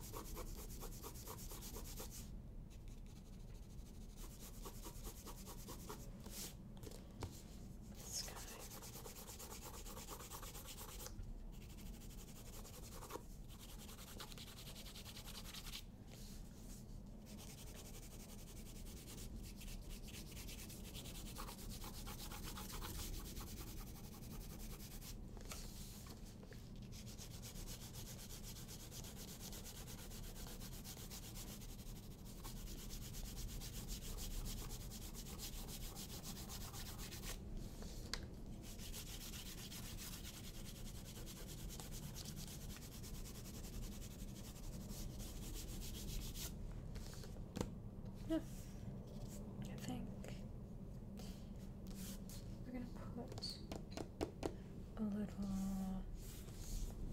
Yeah, I think we're going to put a little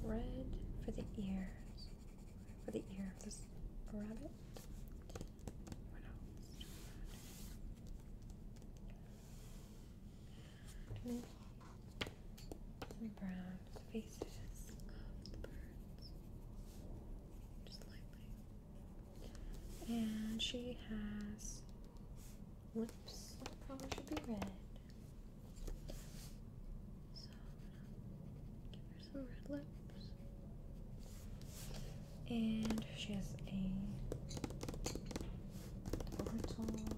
red for the ears, for the ears of this rabbit. brown faces of the birds. Just lightly. And she has lips probably should be red. So give her some red lips. And she has a little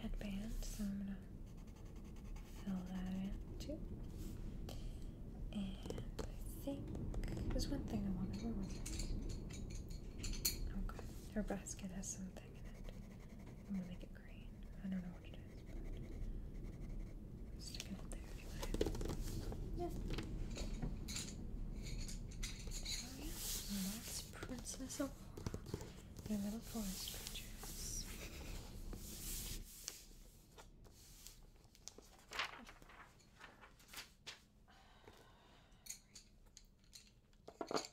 headband, so I'm gonna fill that in too. And I think there's one thing I want to do with Okay, her basket has something in it. I'm gonna make it green. I don't know what to do. stick it up there anyway. That's Princess Aurora. Your little forest creatures. (laughs) Stick these back in the box.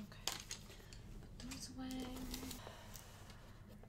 Okay, put those away.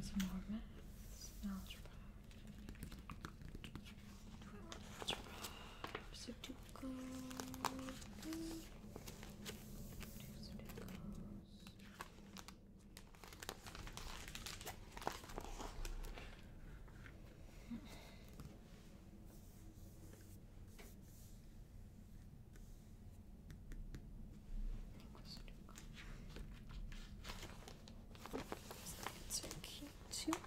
So, there's more maths, algebra, algebra, Sudoku. That's a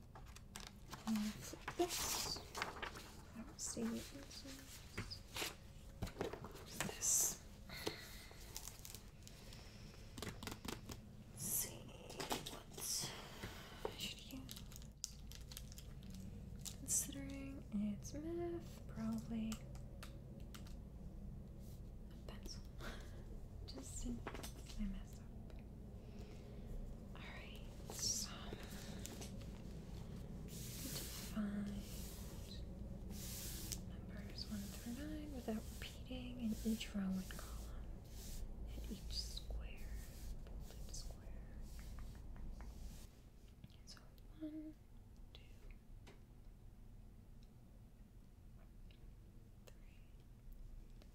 flip this. see what what should use. Considering it's math, probably a pencil. Just in case I mess up. Alright, so define numbers 1 through 9 without repeating in each row and column, and each square, So 1,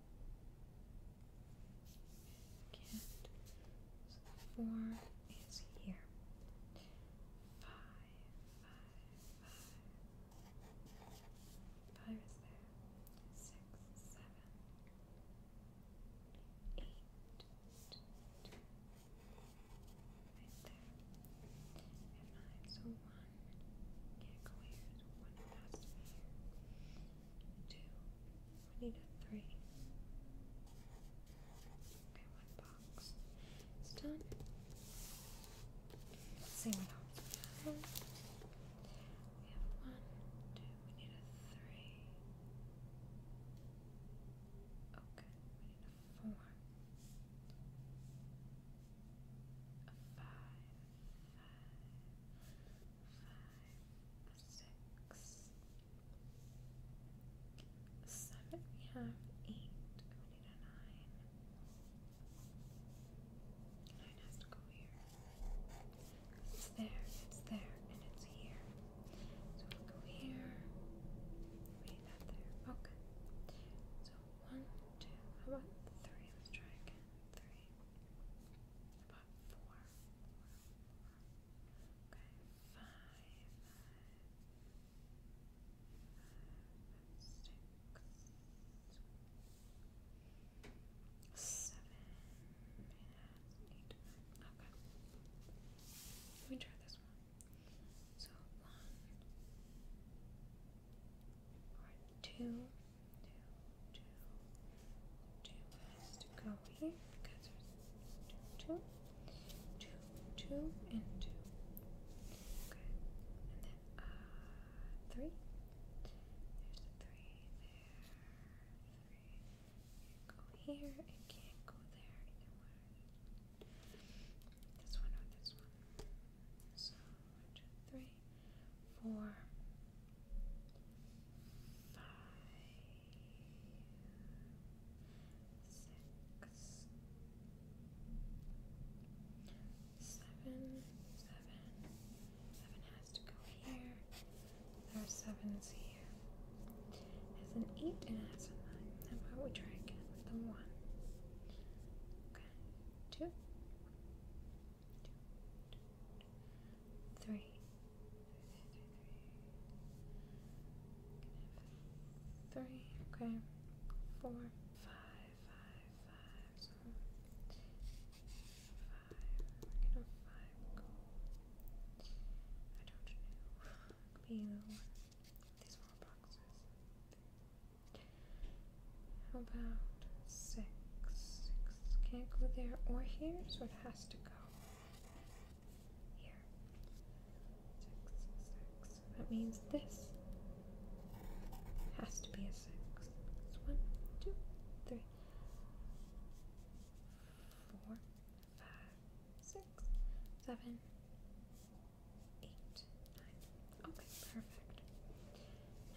Can't. So four is here. Five, five, five. Five is there. Six, seven, eight. Right there. And nine. So one can't go here. one has to be here. Two. I need a three. Okay, one box. It's done. Let's we We have one, two, we need a three. Okay, we need a four. A five, five five, we have eight. We need a nine. Nine has to go here. It's there, it's there, and it's here. So we'll go here. Wait, that there. Okay. So one, two, how about three? Let's try again. Three. About four five, six, seven, eight, nine. Okay. Let me try this one. So one two two, two, two has to go here two, two, two, two, and two. Okay, and then uh, three. There's a three there. 3 go here. It can't go there either way. This one or this one. So one, two, three four, five, six, seven, seven, seven has to go here. There are sevens here. There's an eight and it has a nine. How about we try again with the one? Okay, two, two, okay, four, five, five, five, I don't know. Could be either one. These four boxes. How about six? Six can't go there or here, so it has to go here. Six, six. That means this has to be a six. It's one, two, three, four, five, six, seven, eight, nine. Okay, perfect.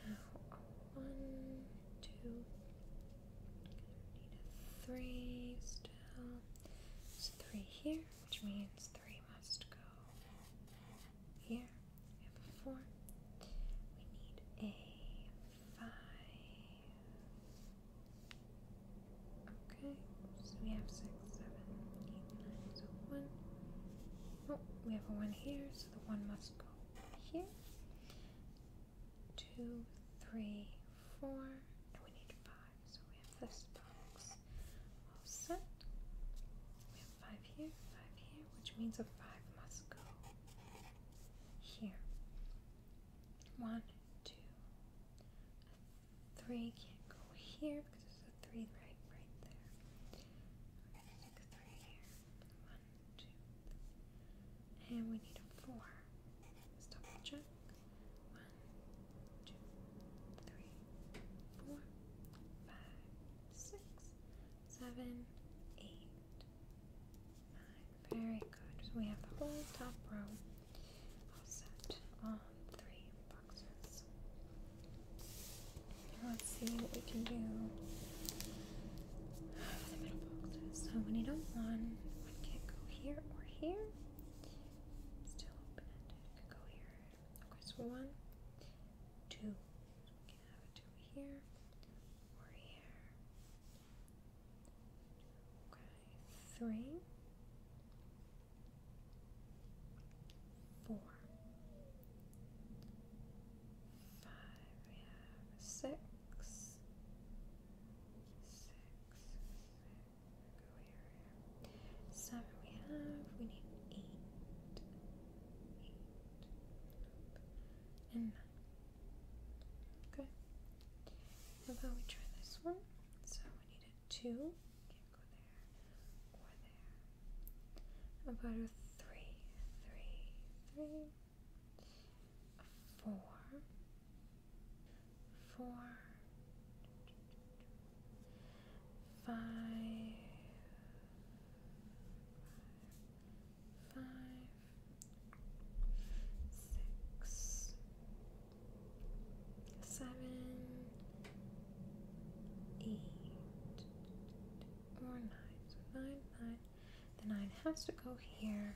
Now, one, two, need a three still. It's three here, which means three must go here. We have a four. We need a five. Okay, so we have six, seven, eight, nine, so one. Oh, we have a one here, so the one must go here two, three, four, and we need five. So we have this box all set. We have five here, five here, which means a five must go here. One, can can't go here because there's a three right right there. We're gonna stick three here. One, two, three. And we need a four. Let's double check. One, two, three, four, five, six, seven, eight, nine. Very good. So we have the whole top row all set on three boxes. let's see what we can do so we need a one. One can go here or here. Still open ended. Could go here. Okay, so one, two. we can have a two here or here. Okay, three six, Seven we have, we need eight, and nine. Okay. How about we try this one? So we need a two. Can't go there or about a three, three, three four, four, five, five, six, seven, eight, or nine. nine, nine. The nine has to go here.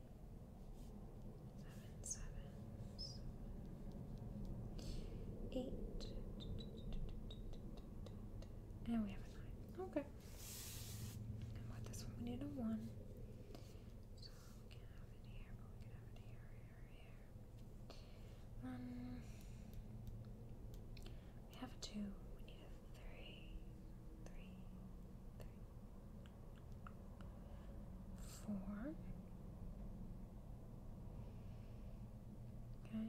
seven, and we have a nine. Okay. And with this one, we need a one. So we can have it here, but we can have it here, here, here. One. We have a two. We need a Three four. Okay.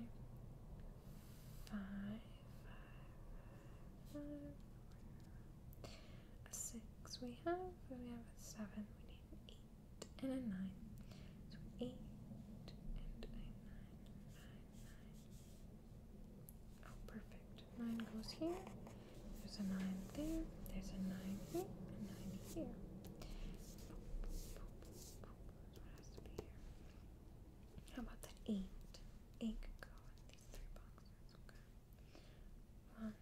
Five, five, five, five. six we have, we have a seven. We need an eight and a nine. So eight and a Nine. Oh, perfect. Nine goes here. There's a nine there. There's a nine here. A nine here. How about that eight? Eight could go in these three boxes. Okay. One.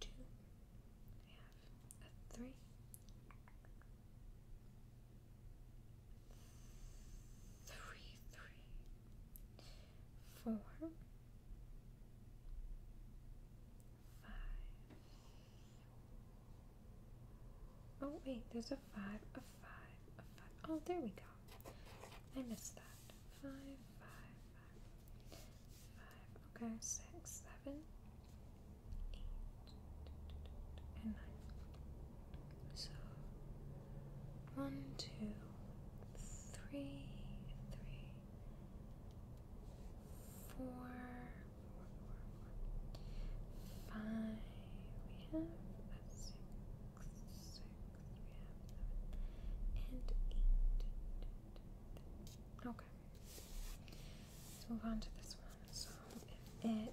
Two. We have a three three, three, four, five. Oh wait, there's a five, a five, a five. Oh, there we go. I missed that. Five, five, five, five. Okay, six, seven, eight, and nine. So one, two, three, three, We have seven and eight. Okay. Let's move on to this one. So if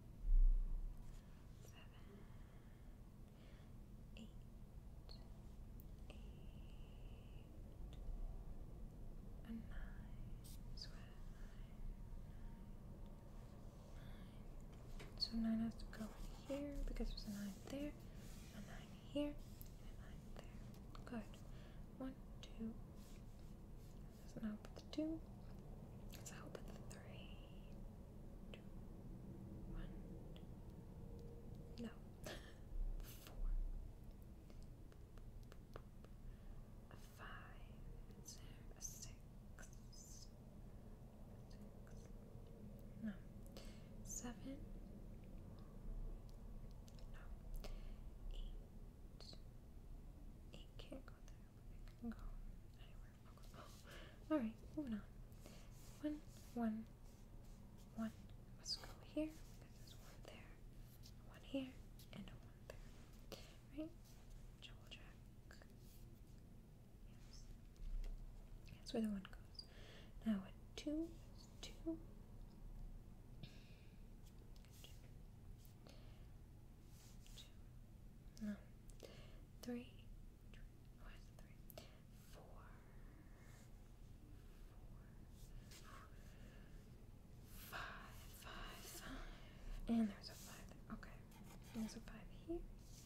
seven, eight, eight, a nine, nine, So nine has to go in here because there's a nine there, a nine here, a nine there. Good. One, two, so now put the two. So I'll put the three. Two. One. No. (laughs) Four. five. a Six. No. Seven. No. Eight. Eight can't go there alright, moving on. One, one, one. Let's go here. There's one there, one here, and a one there. Right? Double check. That's where the one goes. Now a two. Two two, no, three, and there's a five. There. Okay, there's a five here,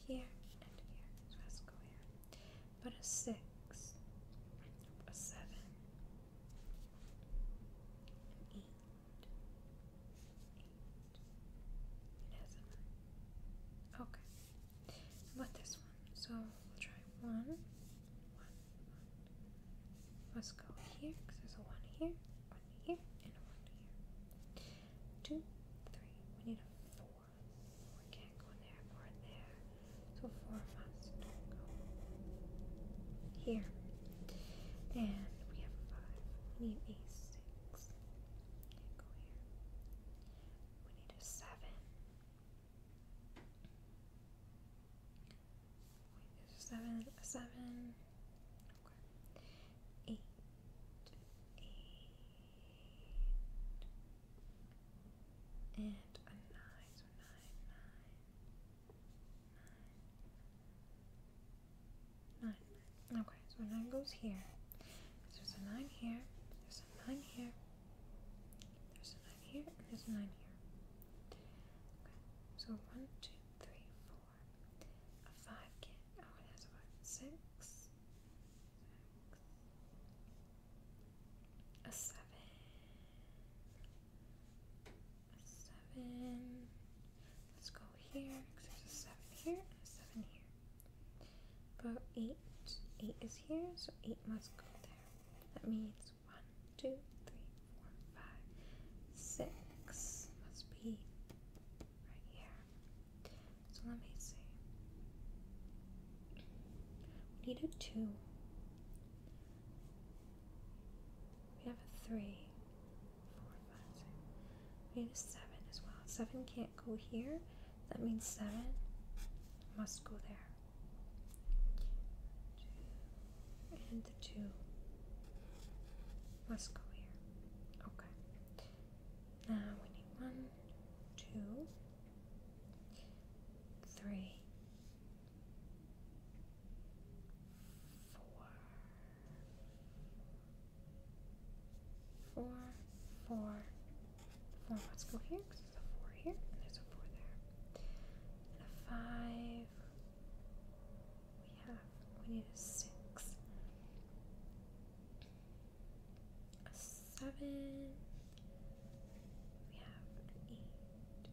here, and here. let's go here. But a six, a seven, eight. Okay. about this one? So we'll try one, one, one. Let's go here because there's a one here, one here, and a one here. Two, three. We need a four. We can't go in there or there. So four must go here. And we have a five. We need a six. 6 We need a seven. seven, seven. Okay. Eight. Eight. And a nine. nine, nine. Nine. Nine. Okay, so nine goes here. There's a nine here. There's a nine here. There's a nine here. And there's a nine here. Okay, so one, two, three, four. A five can. Oh, it has a five. Six. Six. A seven. A seven. Let's go here, because there's a 7 here and a 7 here. But 8, 8 is here, so 8 must go there. That means one, two, three, four, five, six must be right here. So let me see. We need a 2. We have a 3 four, five, six. We seven as well. Seven can't go here. That means seven must go there. Two, and the two must go here. Okay. Now we need one, two, three, four, four, four, four. Let's go here because there's a four here and there's a four there. And a five. We have, we need a six, a seven. We have an eight.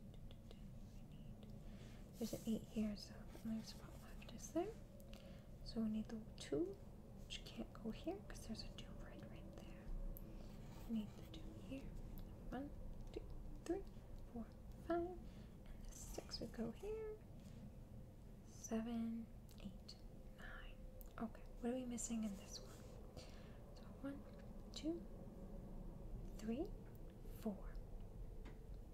there's an eight here, so the only spot left is there. So we need the two, which can't go here because there's a doom right right there. We need the doom here. One, two, three, four, five, and the six would go here. Seven, eight, nine. Okay, what are we missing in this one? So one, two, three, four.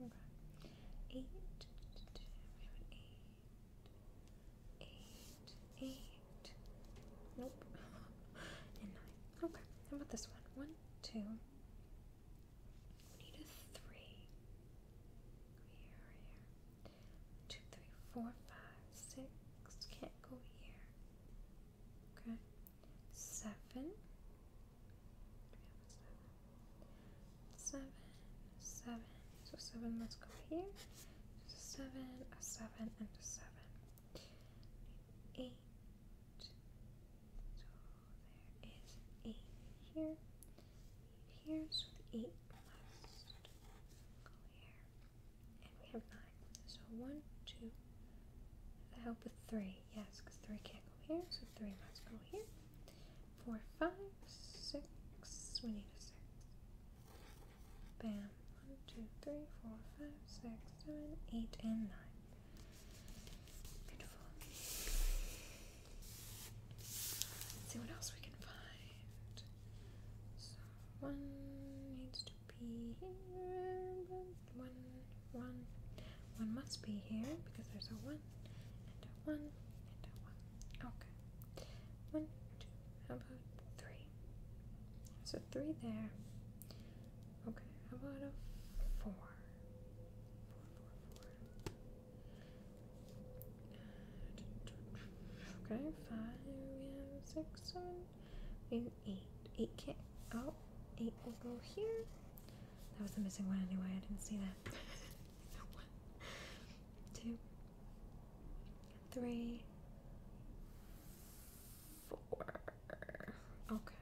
Okay. Eight. We have an eight. Nope. (laughs) and nine. Okay. How about this one? One, two. We need a three. Here, here. Two, three, four, five, six. Can't go here. Okay. Seven seven, seven. So seven must go here. seven, a seven, and a seven. Eight. So there is eight here. Eight here. So the eight must go here. And we have nine. So one, two. That help with three. Yes, because three can't go here. So three must go here four, five, six. We need a six. Bam. One, two, three, four, five, six, seven, eight, and nine. Beautiful. Let's see what else we can find. So one needs to be here. One, one. One must be here because there's a one and a one and a one. Okay. One, two, how about three? So three there. Okay, how about a four? Four, four, four. Okay, five, we have six, seven, we have eight. Eight can't, oh, eight will go here. That was the missing one anyway, I didn't see that. (laughs) one, two, three, four. Okay.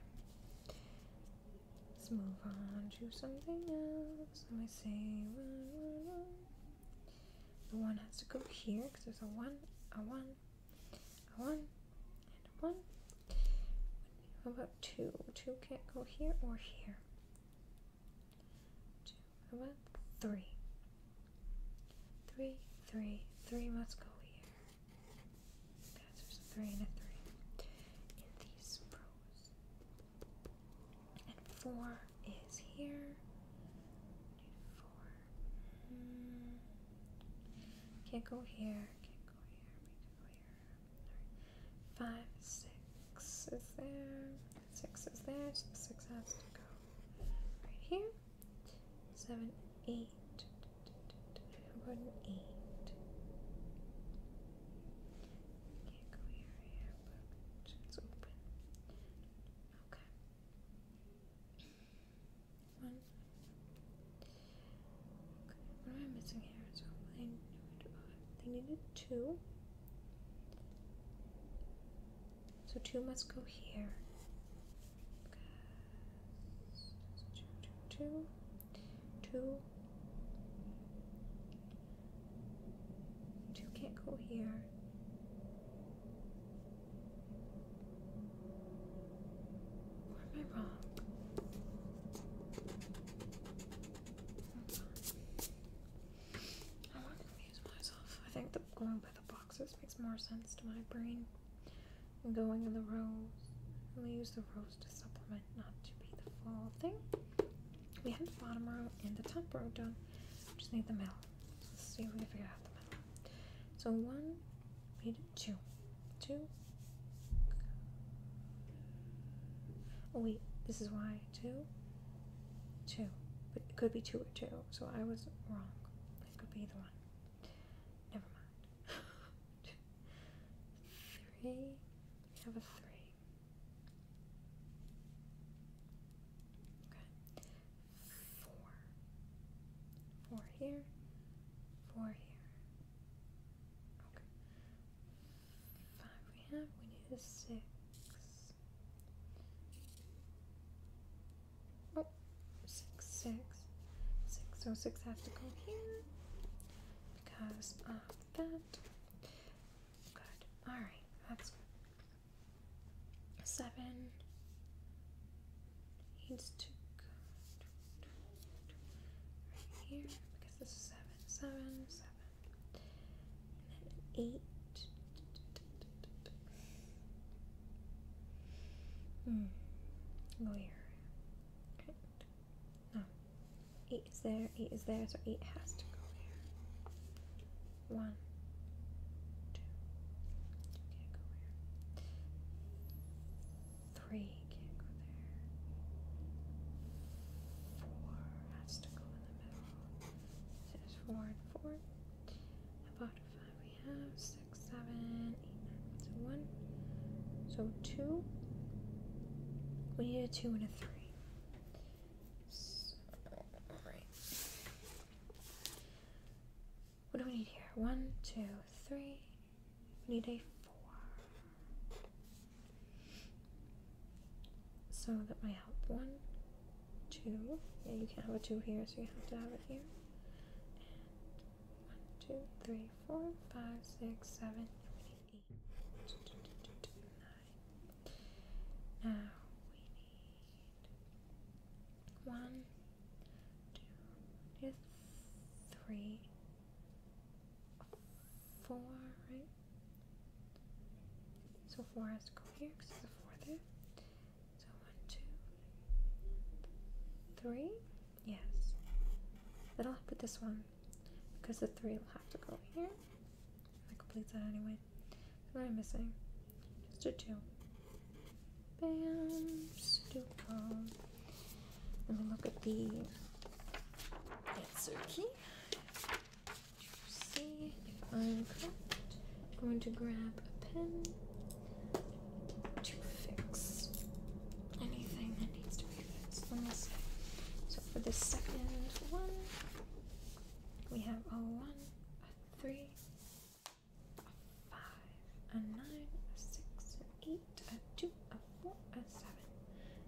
Let's move on to something else. Let me see. The one has to go here because there's a one, a one, a one, and a one. How about two? Two can't go here or here two, three, three must go here. Okay, so there's a three and a three in these rows. And four is here. Need four. Hmm. Can't go here, can't go here, we can go here. Five, six is there. Six is there. So six has to go right here. Seven, can Can't go here, here, but it's open. Okay. One. Okay. What am I missing here? They needed two. So two must go here. Two, two, two, two. Two can't go here. Or am I wrong? I want to confuse myself. I think the going by the boxes makes more sense to my brain than going in the rows. And we use the rows to supplement, not to be the full thing. We have the bottom row and the top row done. just need the middle. let's see if we can figure out the middle. So one, we did Oh wait, this is why two, two, but it could be two or two, so I was wrong. It could be either one. Never mind. two, (laughs) three, we have a three. Okay, four, four here, four here. Okay, five we have, we need a six. Oh, six, six. Six, oh, six have to go here because of that. Good, alright, Seven needs to go right here because this is seven, seven, seven eight. Mm. Go here. Right. No. Eight is there, eight is there, so eight has to go there. One. Two. Can't go there. Three can't go there. Four has to go in the middle. There's four and four. The five we have six, seven, eight, nine. So one. So two. We need a two and a three. Alright. What do we need here? One, two, three. We need a four. So that might help. One, two. Yeah, you can't have a two here, so you have to have it here. And one, two, three, four, five, six, seven, eight, eight, nine. Now we need one, two, three, four, right? So four has to go here because there's a four there. So one, two, three. Yes. Then I'll put this one because the three will have to go here. I complete that anyway. What am I missing? Just a two. Bam. Stupid. Let me look at the It's okay see if I'm correct. I'm going to grab a pen to fix anything that needs to be fixed. So for the second one, we have a one, a three, a five, a nine, a six, an eight, a two, a four, a seven,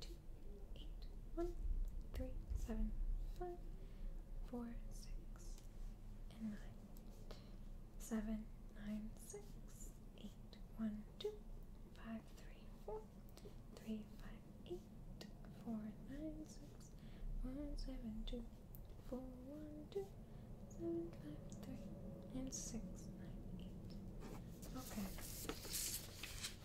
two, eight, one, three, seven, five, four, six, and nine. Seven, nine, six, eight, one, two, five, three, four, three, five, eight, four, nine, six, one, seven, two, four, one, two, seven, five, three, and six, nine, eight. Okay.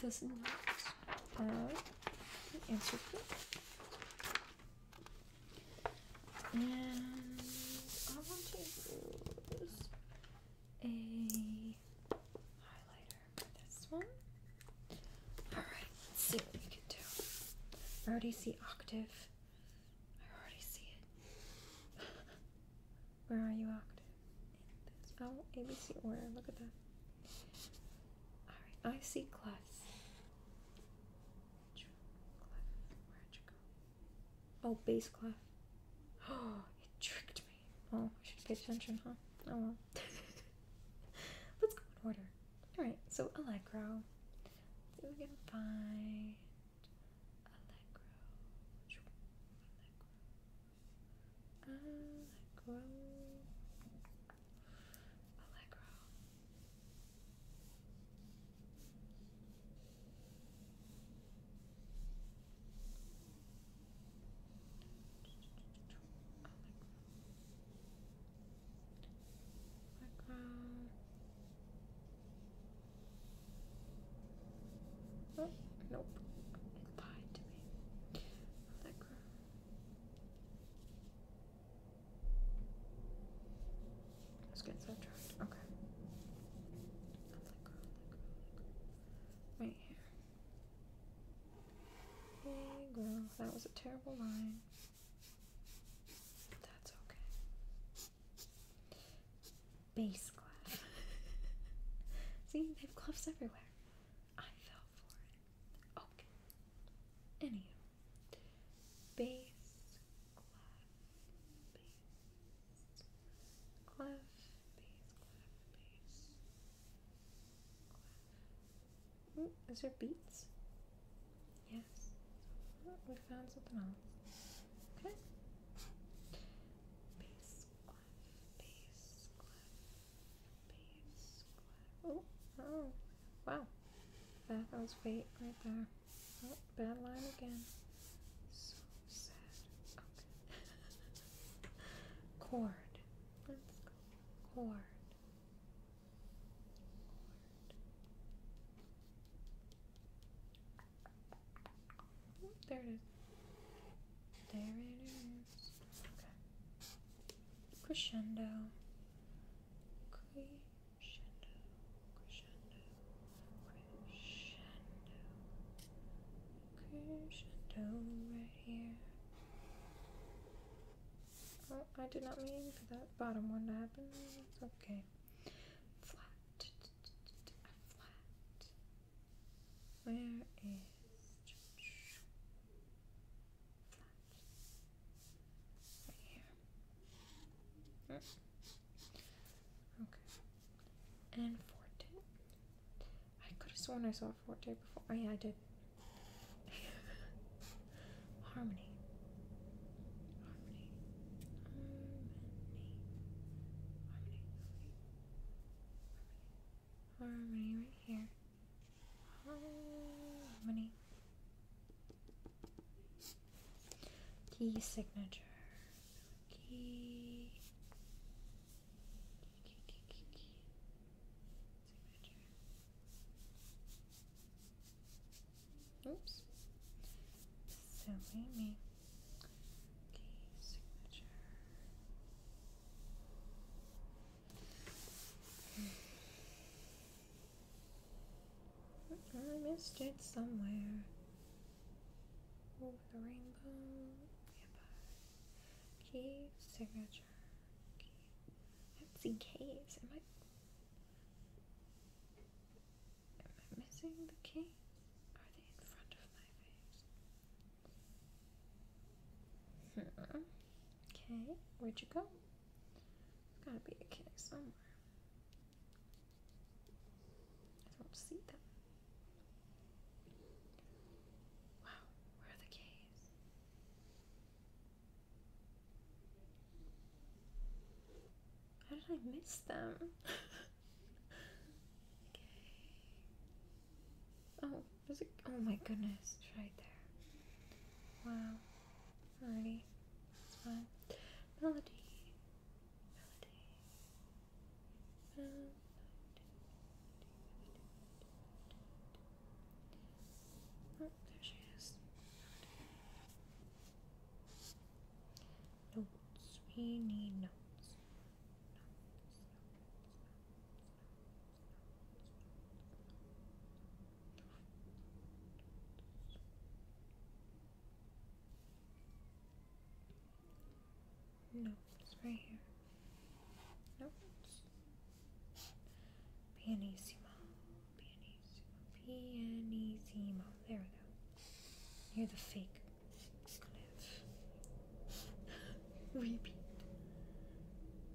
does not uh, answer correctly. And I want to use a highlighter for this one. Alright, let's see what we can do. I already see octave. I already see it. (laughs) Where are you, octave? oh ABC order. Look at that. Alright, I see clefts. Oh, bass clef. Oh, it tricked me. Oh, I should pay attention, huh? Oh (laughs) Let's go in order. Alright, so Allegro. See if we can find Allegro. Allegro. Allegro. Allegro. Allegro. Oh, nope. Allegro. Let's get sidetracked. Okay. Right here. There you That was a terrible line. That's okay. Bass glove. (laughs) See, they have gloves everywhere. I fell for it. Okay. Anywho. Bass, clef, bass, clef, bass, clef, bass, clef. is mm, there beats? Yes. Oh, we found something else. Okay. Bass, clef, bass, clef, Oh, oh, wow. That was fate right there. Oh, bad line again. So sad. Okay. (laughs) Cord. Let's go. Cord. there it is. There it is. Okay crescendo, crescendo, crescendo, crescendo, crescendo right here. Oh, I did not mean for that bottom one to happen. It's okay. Flat, flat. Where is? Okay. And Forte. I could have sworn I saw Forte before. Oh, yeah, I did. (laughs) Harmony. Harmony. Harmony. Harmony. Harmony harmony right here. Harmony. Key signature. Key. Signature. Oops. Silly me. Key signature. I missed it somewhere. Over the rainbow. Empire. Key signature. Key. keys. Am I? Am I missing the key? Are they in front of my face? Hmm. Okay, where'd you go? it has gotta be a somewhere. I don't see them. Wow, where are the caves? How did I miss them? (laughs) okay. Oh, was it? Oh my goodness, right there. Wow. Alrighty, it's Melody, melody, there she is. Notes. We need Notes. No, it's right here. No, it's pianissimo, pianissimo, pianissimo. There we go. Near the fake cliff. (laughs) Repeat.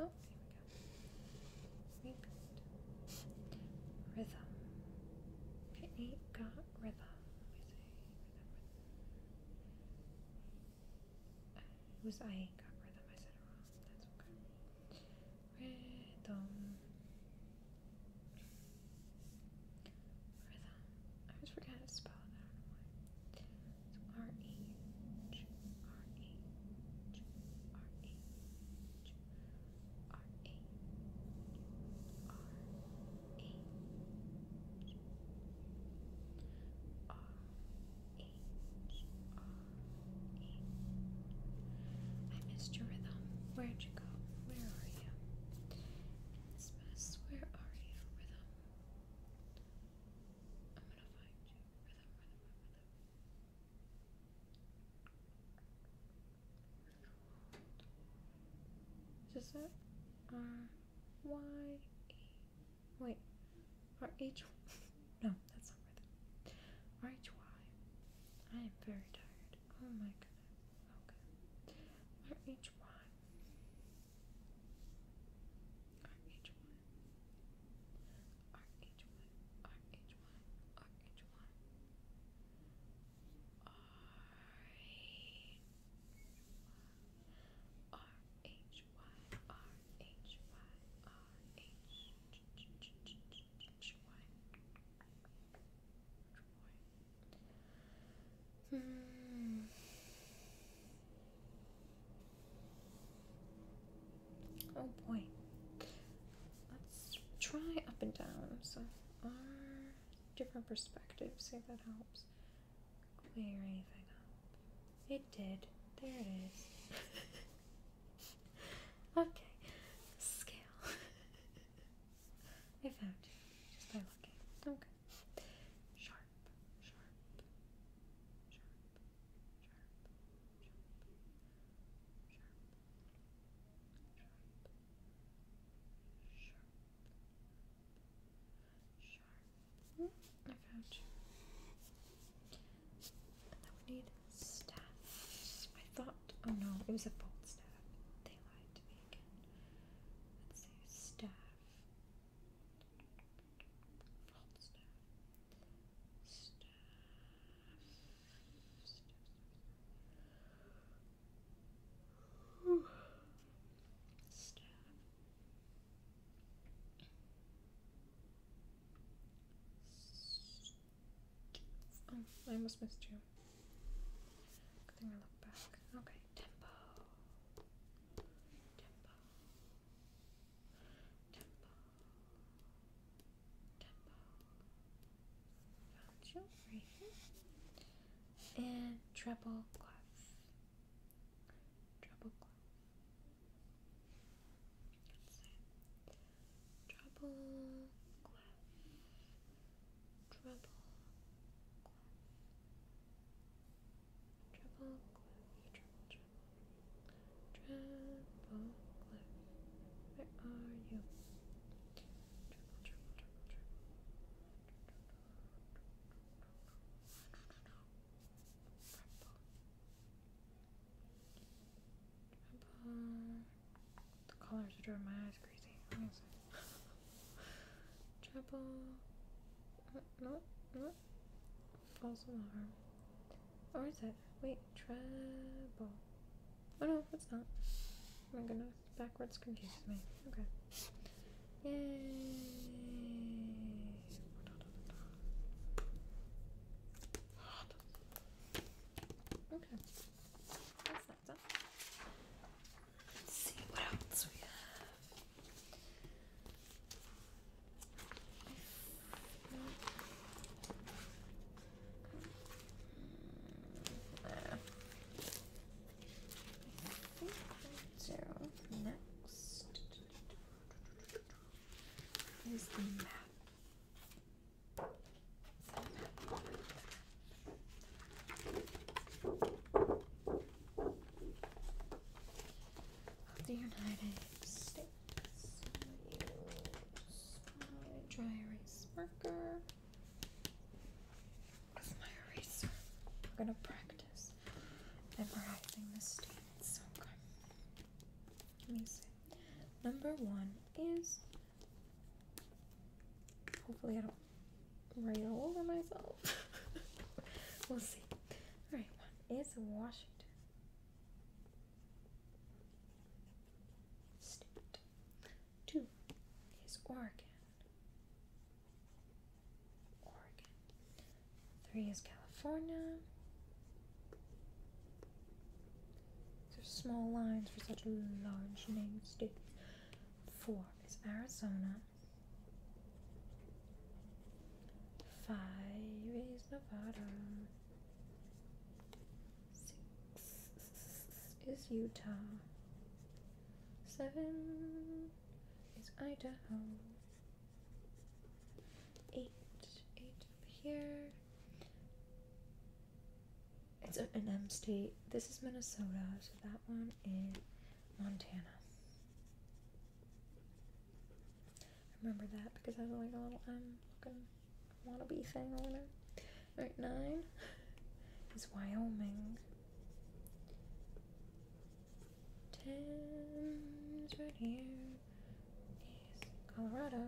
Oh, here we go. Rhythm. It got rhythm. was I ain't got rhythm. I said wrong. That's okay. Rhythm. Rhythm. I always forget to spell it. I R A R A R H R E. I missed your rhythm. Where'd you go? Where are you? In this mess, where are you, rhythm? I'm gonna find you, rhythm, rhythm, rhythm. Is it R Y E? Wait, R H? (laughs) No, that's not right. R H Y. I am very tired. Oh my goodness. Okay. R H Y. R H Y. R H Y. R H one, hmm. Oh boy. Let's try up and down. So our different perspectives. See if that helps clear anything up. It did. There it is. (laughs) okay. Scale. (laughs) I found you just by looking. Okay. sharp, sharp, sharp, sharp, sharp, sharp. I thought, oh no, it was a false staff. They lied to me again. Let's see, staff. Bolt staff. Staff. Oh, I almost missed you. Okay, tempo. Tempo. Tempo tempo banjo right here, and treble clef. Treble clef. Treble clef. Treble clef. Treble clef. Treble treble. Triple Where are you? Triple, triple, triple, triple. Triple. Triple. The colors are driving my eyes crazy. triple. No, no. False alarm. Or is it? Wait, treble. Oh no, it's not. Oh my goodness, backwards confuses me. Okay. Yay! Okay. That's that done. Let's see what else we have. So next is the map. The The United States dry erase marker with my eraser. We're gonna practice memorizing the states. Okay. Let me see. Number one is hopefully I don't write all over myself. (laughs) we'll see. Alright, one is Washington state. Two is Oregon. Oregon. Three is California. These are small lines for such a large name state. Four is Arizona. Five is Nevada. Six is Utah. Seven is Idaho. Eight, eight up here. It's an M state. This is Minnesota, so that one is Montana. I remember that because I was like a little M looking wanna be Arizona. Right right, nine is Wyoming. Ten right here. Is Colorado.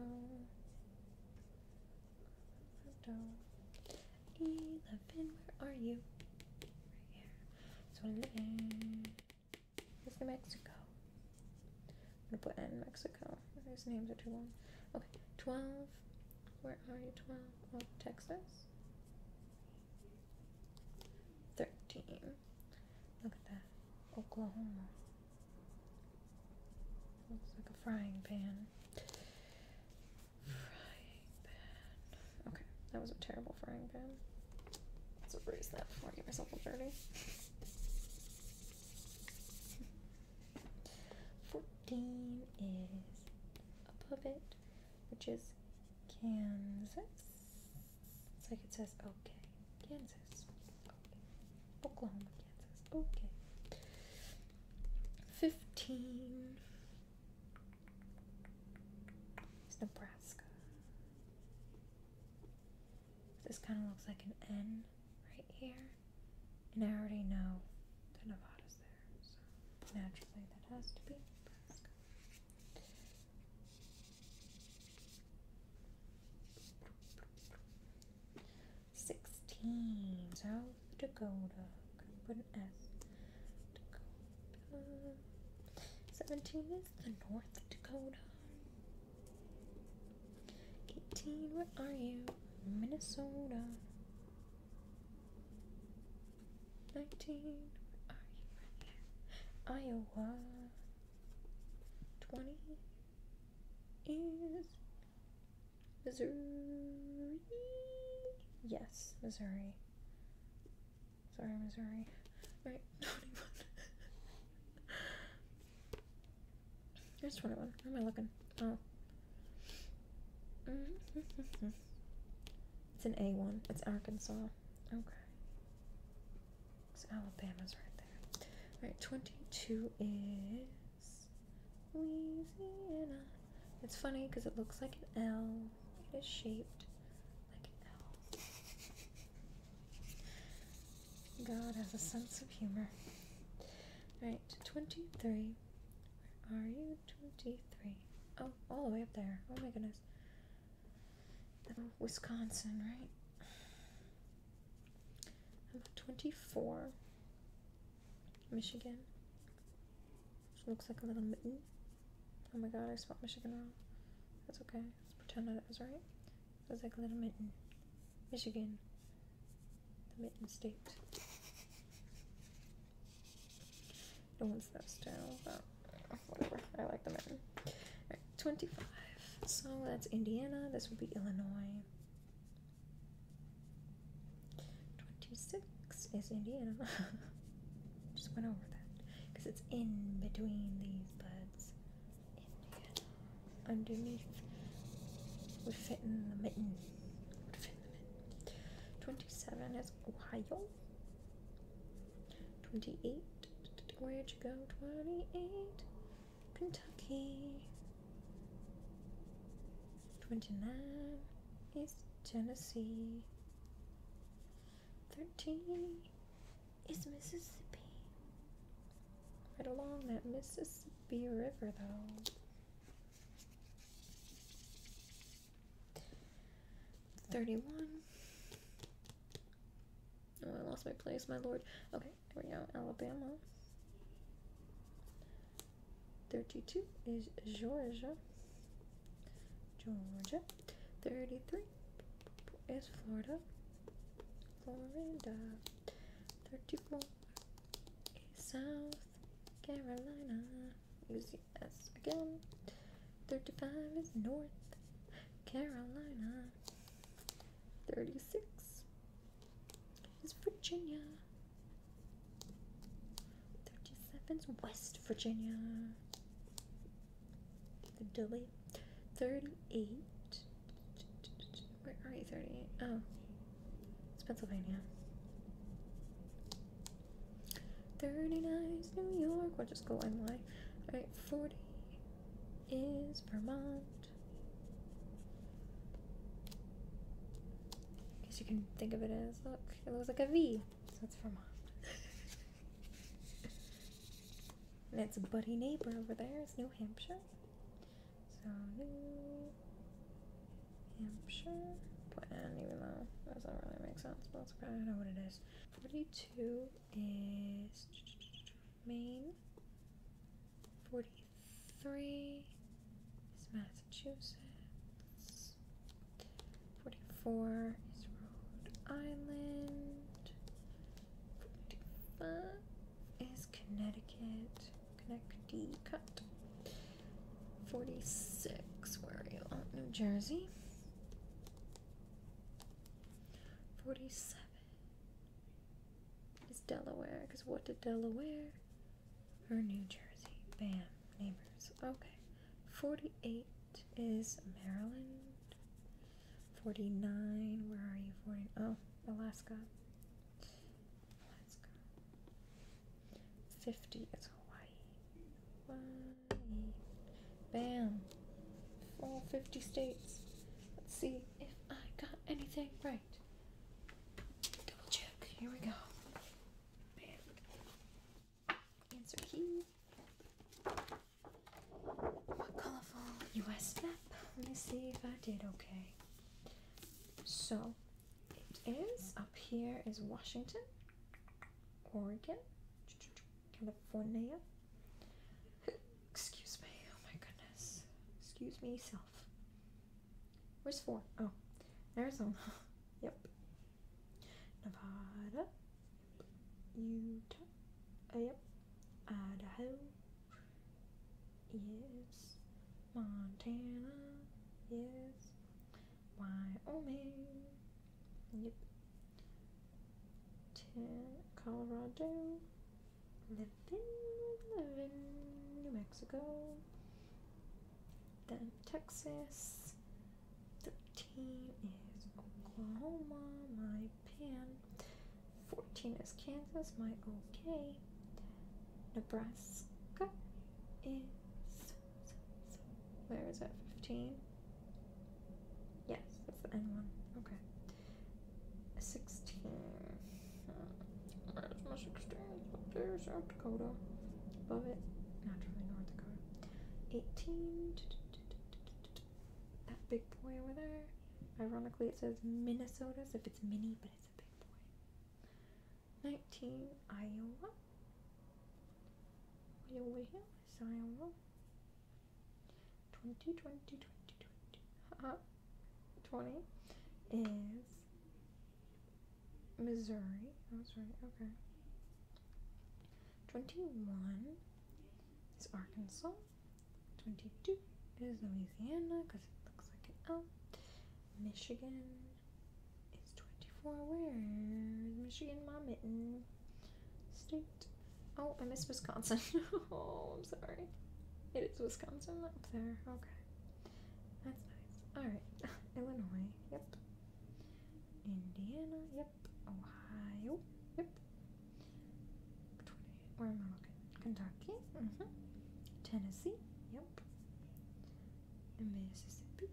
Eleven, where are you? Right here. So eleven is New Mexico. I'm gonna put in Mexico. These names are too long. Okay, 12. Where are you? 12. Oh, Texas. 13. Look at that. Oklahoma. Looks like a frying pan. Frying pan. Okay, that was a terrible frying pan. Let's erase that before I get myself a dirty. (laughs) 14 is above it, which is Kansas. It's like it says, okay, Kansas. Okay. Oklahoma, Kansas. Okay. 15 is Nebraska. This kind of looks like an N right here. And I already know that Nevada's there, so naturally that has to be Sixteen, South Dakota. put an S. Dakota. Seventeen is the North Dakota. 18, where are you? Minnesota. 19, where are you? Iowa. 20 is Missouri. Yes, Missouri. Sorry, Missouri. Right, (laughs) 21. There's 21. Where am I looking? Oh. (laughs) it's an A1. It's Arkansas. Okay. Because Alabama's right there. Alright, 22 is Louisiana. It's funny because it looks like an L. It is shaped like an L. God has a sense of humor. Alright, 23. Where are you? 23. Oh, all the way up there. Oh my goodness. Wisconsin, right? 24? Michigan. looks like a little mitten. Oh my god, I spelled Michigan wrong. That's okay. Let's pretend that it was right. It was like a little mitten. Michigan, the Mitten State. No one's that style, but whatever. I like the Mitten. 25. So that's Indiana. This would be Illinois. 26 is Indiana. (laughs) Just went over that because it's in between these buds underneath would fit in the mitten. the mitten. Twenty-seven is Ohio. Twenty-eight. Where'd you go? Twenty-eight. Kentucky. Twenty-nine is Tennessee. Thirteen is Mississippi. Right along that Mississippi River, though. 31. Oh, I lost my place, my lord. Okay, here we go. Alabama. 32 is Georgia. Georgia. 33 is Florida. Florida. 34 South Carolina is yes again. 35 is North Carolina. 36 is Virginia. 37 is West Virginia. The 38 where are you, 38? Oh, it's Pennsylvania. 39 is New York. We'll just go NY. Alright, 40 is Vermont. I guess you can think of it as look, it looks like a V. So it's Vermont. (laughs) and it's a buddy neighbor over there, it's New Hampshire. So New Hampshire, Put even though doesn't really make sense, but it's okay, know what it is. 42 is Maine, 43 is Massachusetts, 44 is Rhode Island, 45 is Connecticut. Connect 46, where are you at? Oh, New Jersey. 47 is Delaware, because what did Delaware? Or New Jersey. Bam. Neighbors. Okay. 48 is Maryland. 49, where are you? 40, oh, Alaska. Let's go. 50 It's Hawaii. Hawaii. Bam. All 50 states. Let's see if I got anything right. Double check. Here we go. Bam. Answer key. What colorful US map? Let me see if I did okay. So, it is up here is Washington, Oregon, California. Excuse me. Oh my goodness. Excuse me, self. Where's four? Oh, Arizona. (laughs) yep. Nevada. Utah. Uh, yep. Idaho yes. Montana, yes. Wyoming, yep. Ten, Colorado, living, living, New Mexico. Then Texas. Thirteen is Oklahoma, my pan. Fourteen is Kansas, my okay. Nebraska is where is that? Fifteen. Yes, that's the end one. Okay. Sixteen. Where's my sixteen? Up there, South Dakota. Above it, naturally North Dakota. Eighteen. That big boy over there. Ironically, it says Minnesota, So if it's mini, but it's a big boy. 19 Iowa. Iowa Iowa. 20, 20, 20, 20. Uh-huh. is Missouri. I was right, okay. 21 is Arkansas. 22 is Louisiana because it looks like an L. Michigan is 24. Where's Michigan, my mitten? State. Oh, I miss Wisconsin. (laughs) oh, I'm sorry. It is Wisconsin up there. Okay. That's nice. Alright. (laughs) Illinois. Yep. Indiana. Yep. Ohio. Yep. 20. Where am I looking? Kentucky. Mm-hmm. Tennessee. Yep. Mississippi,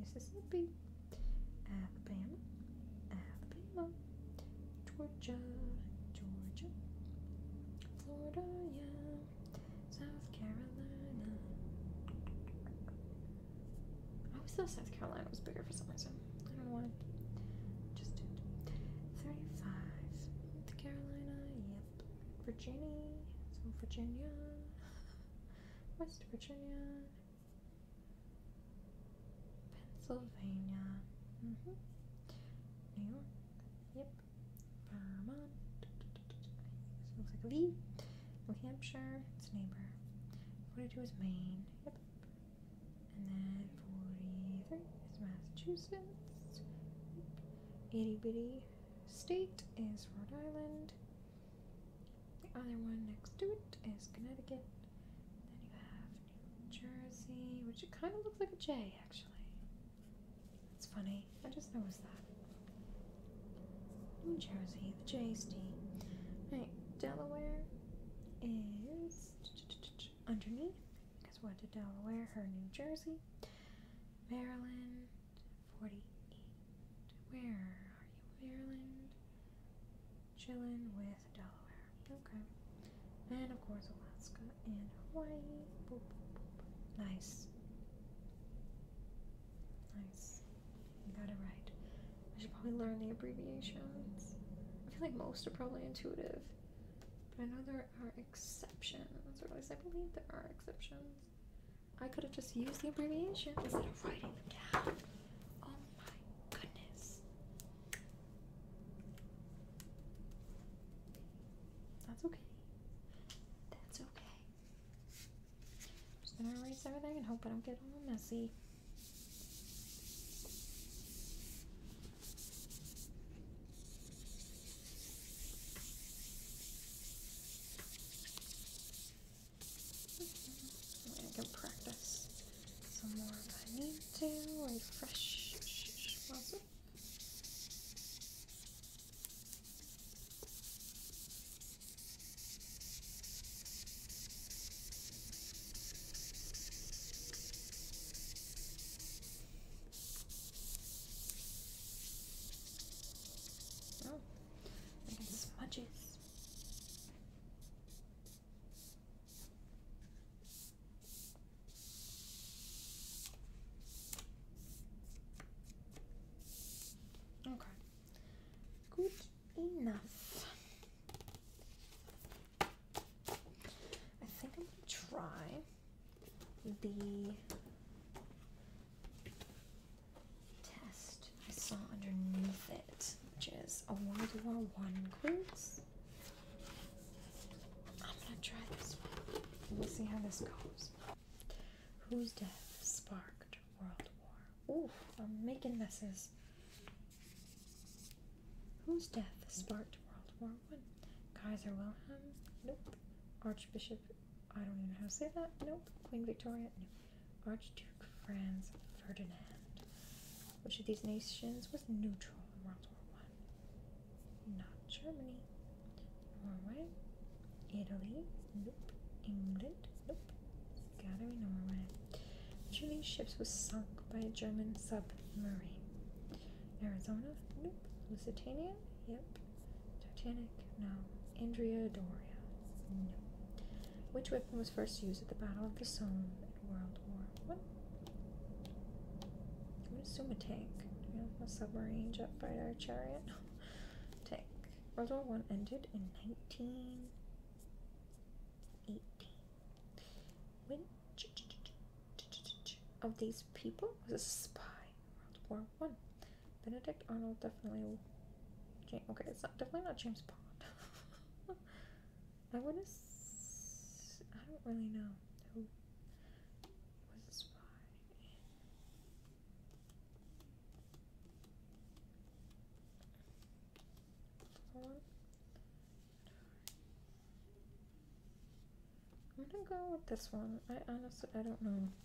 Mississippi, Alabama, Alabama, Georgia, Georgia, Florida, yeah, South Carolina. I always thought South Carolina was bigger for some reason. I don't know why. Just 35. North Carolina, yep. Virginia, so Virginia, West Virginia, Pennsylvania, mm -hmm. New York, yep, Vermont, so looks like Lee, New Hampshire, its neighbor, 42 is Maine, yep, and then 43 is Massachusetts, yep. itty bitty state is Rhode Island. The other one next to it is Connecticut. Then you have New Jersey, which it kind of looks like a J actually. That's funny. I just noticed that. New Jersey, the J is D. Right, Delaware is underneath because what did Delaware? Her New Jersey, Maryland, 48. Where are you? Maryland. Chilling with Delaware. Okay. And of course, Alaska and Hawaii. Nice. Nice. You got it right. I should probably learn the abbreviations. I feel like most are probably intuitive. But I know there are exceptions, at least I believe there are exceptions. I could have just used the abbreviation instead of writing them down. Oh my goodness. That's okay. That's okay. I'm just gonna erase everything and hope I don't get a little messy. I can practice some more if I need to. Refresh. Awesome. Oh, I got smudges. Okay, good enough. I think I'm gonna try the test I saw underneath it, which is a World War One quiz. I'm gonna try this one. We'll see how this goes. Whose death sparked World War? Ooh, I'm making messes. Whose death sparked World War One? Kaiser Wilhelm? Nope. Archbishop I don't even know how to say that. Nope. Queen Victoria. Archduke Franz Ferdinand. Which of these nations was neutral in World War One? Not Germany. Norway. Italy. Nope. England. Nope. got Norway. Which of these ships was sunk by a German submarine? Arizona. Nope. Lusitania. Yep. Titanic? No. Andrea Doria? No. Which weapon was first used at the Battle of the Somme in World War One? I'm assume a tank. You know, a submarine, jet fighter, chariot. tank. World War One ended in nineteen eighteen. Which of these people was a spy in World War one. Benedict Arnold definitely. James, okay, it's not definitely not James Bond. (laughs) I would I don't really know who was a spy. I'm gonna go with this one. I honestly I don't know.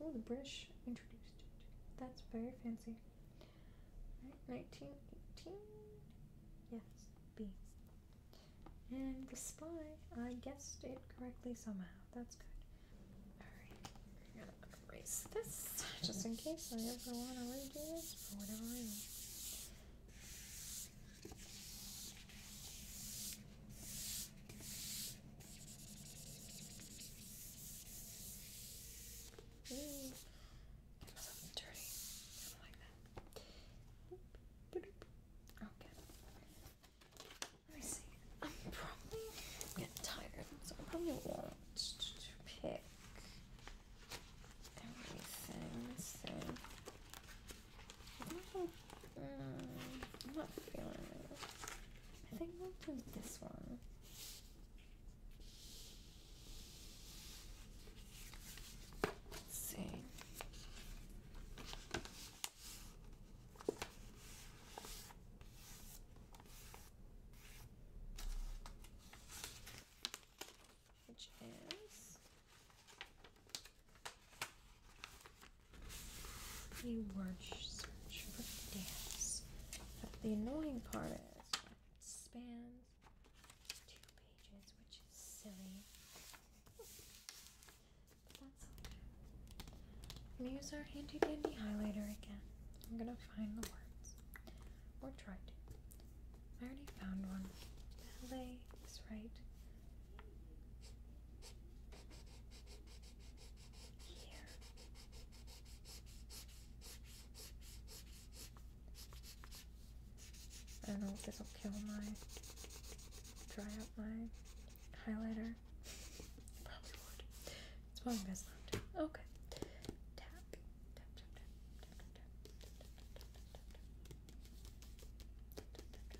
Oh, the British introduced it. That's very fancy. Right, 1918. Yes, B. And the spy, I guessed it correctly somehow. That's good. Alright, I'm gonna erase this just in case I ever want to redo this for whatever reason. Ooh, something dirty. I don't like that. Okay. Let me see. I'm probably getting tired, so I probably won't pick everything. So, I'm mm, not feeling it. I think we'll do this one. see. Which is a word search for dance. But the annoying part is it spans two pages, which is silly. But that's okay. I'm use our handy dandy highlighter again. I'm gonna find the words. Or try to. I already found one. Ballet right here. I don't know it'll kill my dry out my highlighter. probably would. It's probably best not to. Okay. Tap. tap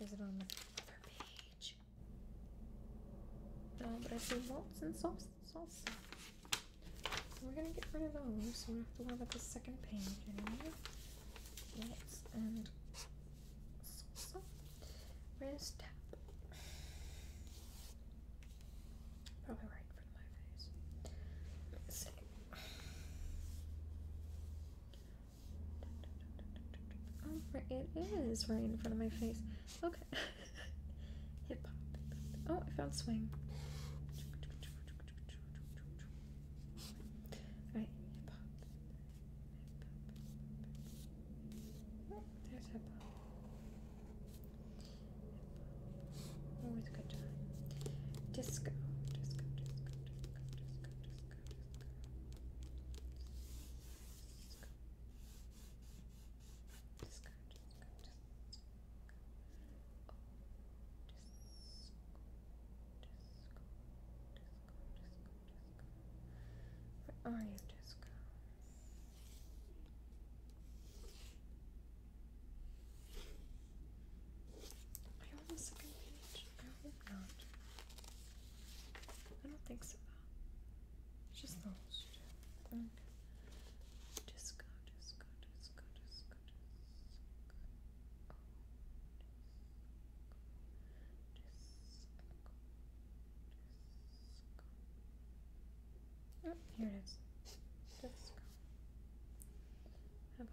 Is it on the other page? No, but I see waltz and salsa. salsa. So we're gonna get rid of those, so we have to worry about the second page anymore. and salsa. Where's tap? Probably right in front of my face. see. Oh, it is right in front of my face. Okay. (laughs) Hip hop. Oh, I found swing. Alright, Hip hop. There's hip hop. Always a good time. Disco, disco, disco, disco, disco, disco, Disco. Where are you, Disco? I almost second page. I hope not. I don't think so. Just those two. And disco, disco, disco, disco, disco. Oh, disco, disco, disco. Oh, here it is. Disco. About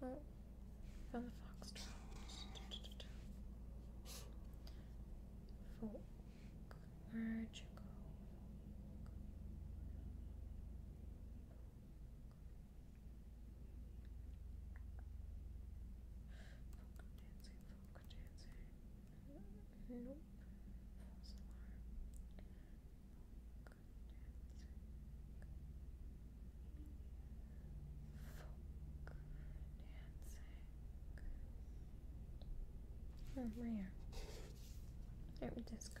folk dancing, folk dancing, folk dancing, folk dancing. Oh, found the fox trot. Folk, where'd you go? folk dancing. Nope. False alarm. Folk dancing. Oh, right here. There we just go.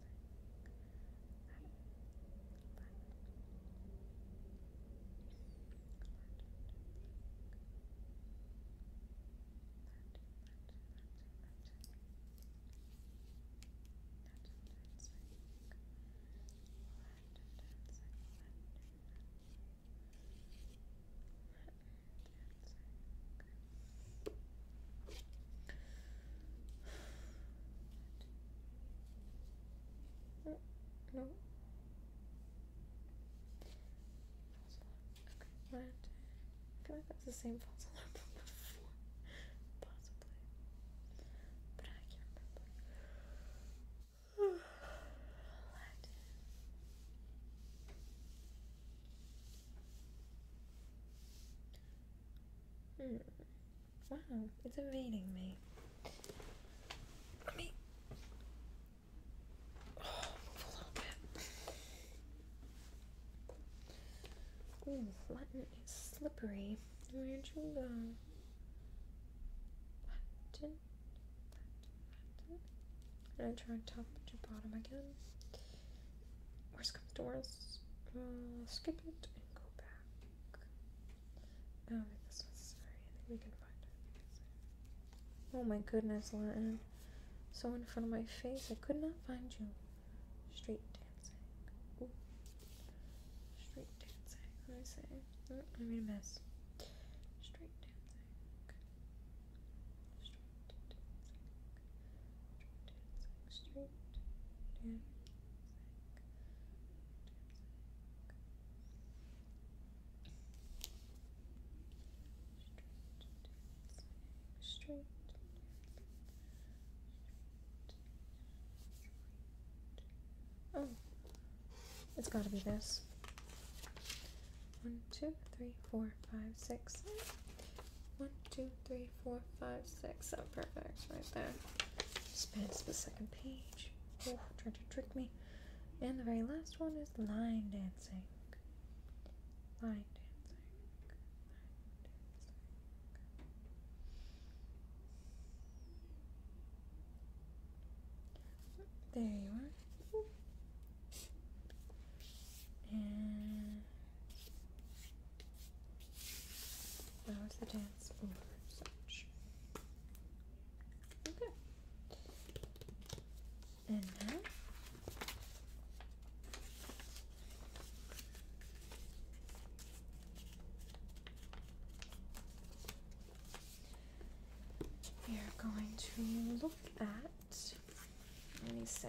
Dancing. No. no. Okay. I feel like that's the same false alarm before. Possibly. But I can't remember. Hmm. Wow, it's evading me. Let me oh, move a little bit. Ooh, Latin is slippery. Where'd you go? Latin. Latin. And I try top to bottom again. Where's comes to we skip it and go back. Um, I this one's necessary. we can find Oh my goodness, Latin. So in front of my face, I could not find you. Straight dancing. Straight dancing. Let me say. Oh, mm, I made a mess. Street dancing. dancing. Like straight down. Straight, Oh, it's got to be this. One, two, three, four, five, six. One, two, three, four, five, six. Oh, perfect. Right there. Spans the second page. Oh, tried to trick me. And the very last one is line dancing. Line dancing. Line dancing. There you are. And that the dance floor section. Okay. And now we are going to look at let me say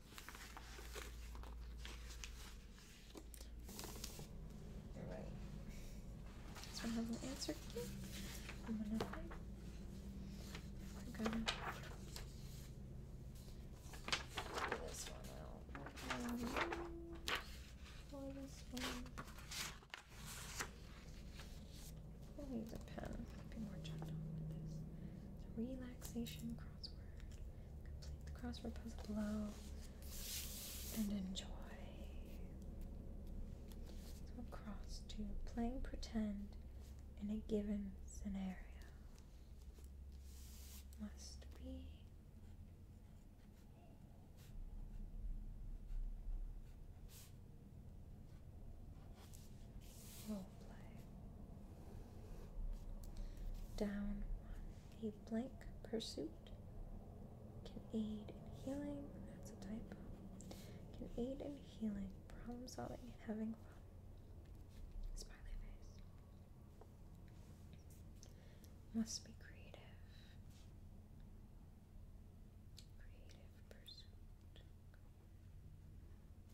Alright. This one has an answer key. I'm gonna I'm gonna this one out. Pour this one. We'll leave the pen. be more gentle with this. relaxation crossword. Complete the cross repose below and enjoy. So cross to playing pretend in a given scenario. Must be. Down A blank pursuit can aid in healing. That's a type. Can aid in healing, problem solving, and having fun. Smiley face. Must be creative. Creative pursuit.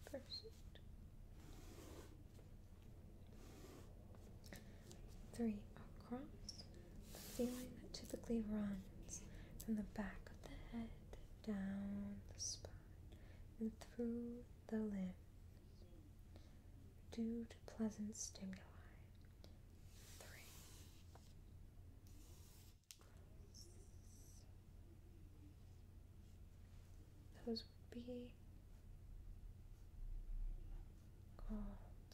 Pursuit. Three across, the feeling that typically runs from the back of the head down the spine and through the limbs due to pleasant stimuli those would be called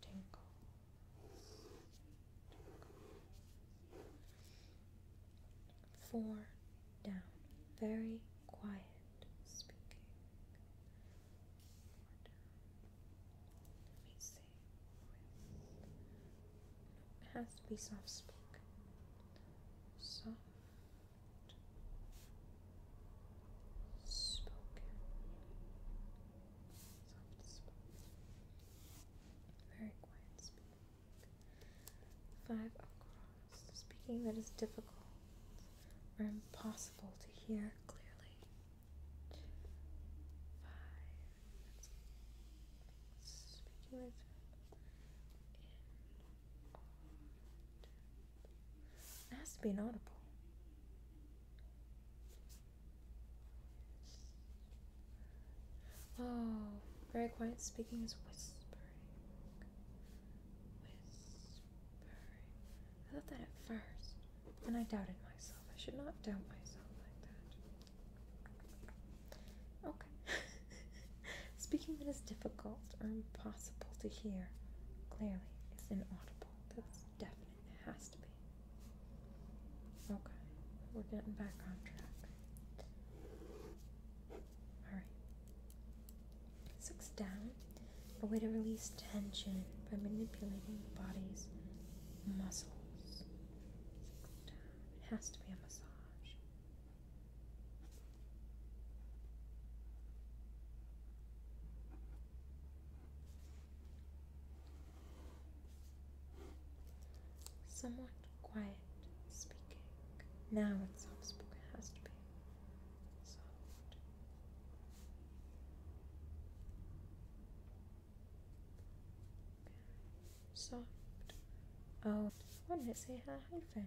tinkles. Four down, very quiet speaking. Let me see. It has to be soft speak. Soft soft spoken, very quiet speaking. Five across, speaking that is difficult or impossible to hear clearly. Five, it has to be an audible. Oh, very quiet speaking is whispering. Whispering. I thought that at first, and I doubted myself. I should not doubt myself like that. Okay. (laughs) (laughs) Speaking that is difficult or impossible to hear clearly is inaudible. That's definite. It has to be. Okay, we're getting back on track. Alright. Six down. A way to release tension by manipulating the body's muscles. It has to be a massage. Somewhat quiet speaking. Now it's soft spoken, has to be soft. Soft. Oh, why did it say? Hyphen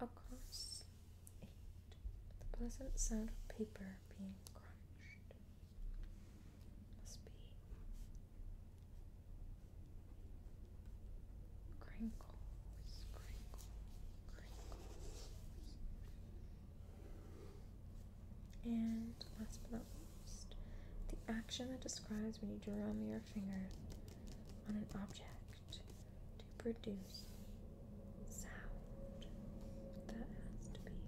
Across the pleasant sound of paper being crunched must be crinkles, crinkles, crinkles. And last but not least, the action that describes when you drum your finger on an object to produce sound. That has to be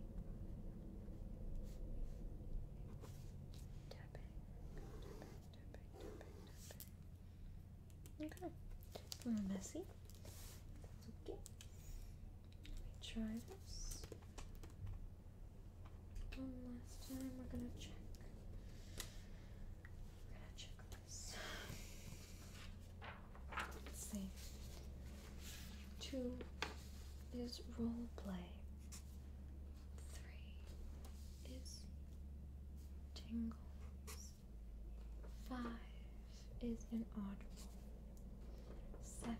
tapping, Okay, a little messy. That's okay. Let me try this. One last time, we're gonna check. We're gonna Two is role play. Three is tingles. Five is inaudible. Seven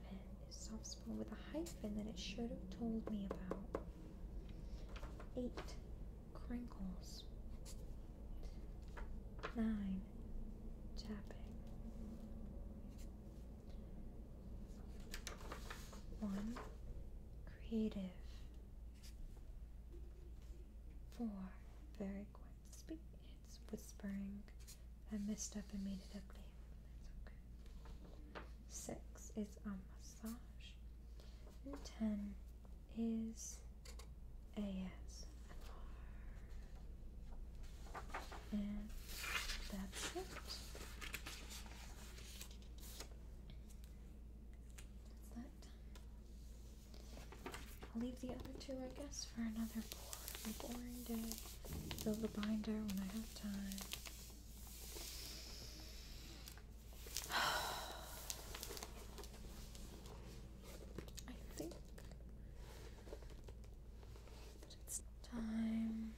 is soft spoken with a hyphen that it should have told me about. Eight crinkles. 9. Tapping. 1. Creative. 4. Very quiet. It's whispering. I messed up and made it ugly. that's okay. 6 is almost. 10 is ASMR. And that's it. That's that. I'll leave the other two, I guess, for another boring, boring day. Fill the binder when I have time. I think that it's time.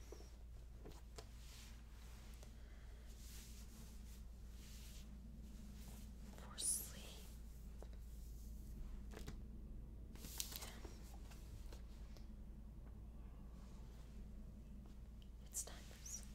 For sleep. It's time for sleep.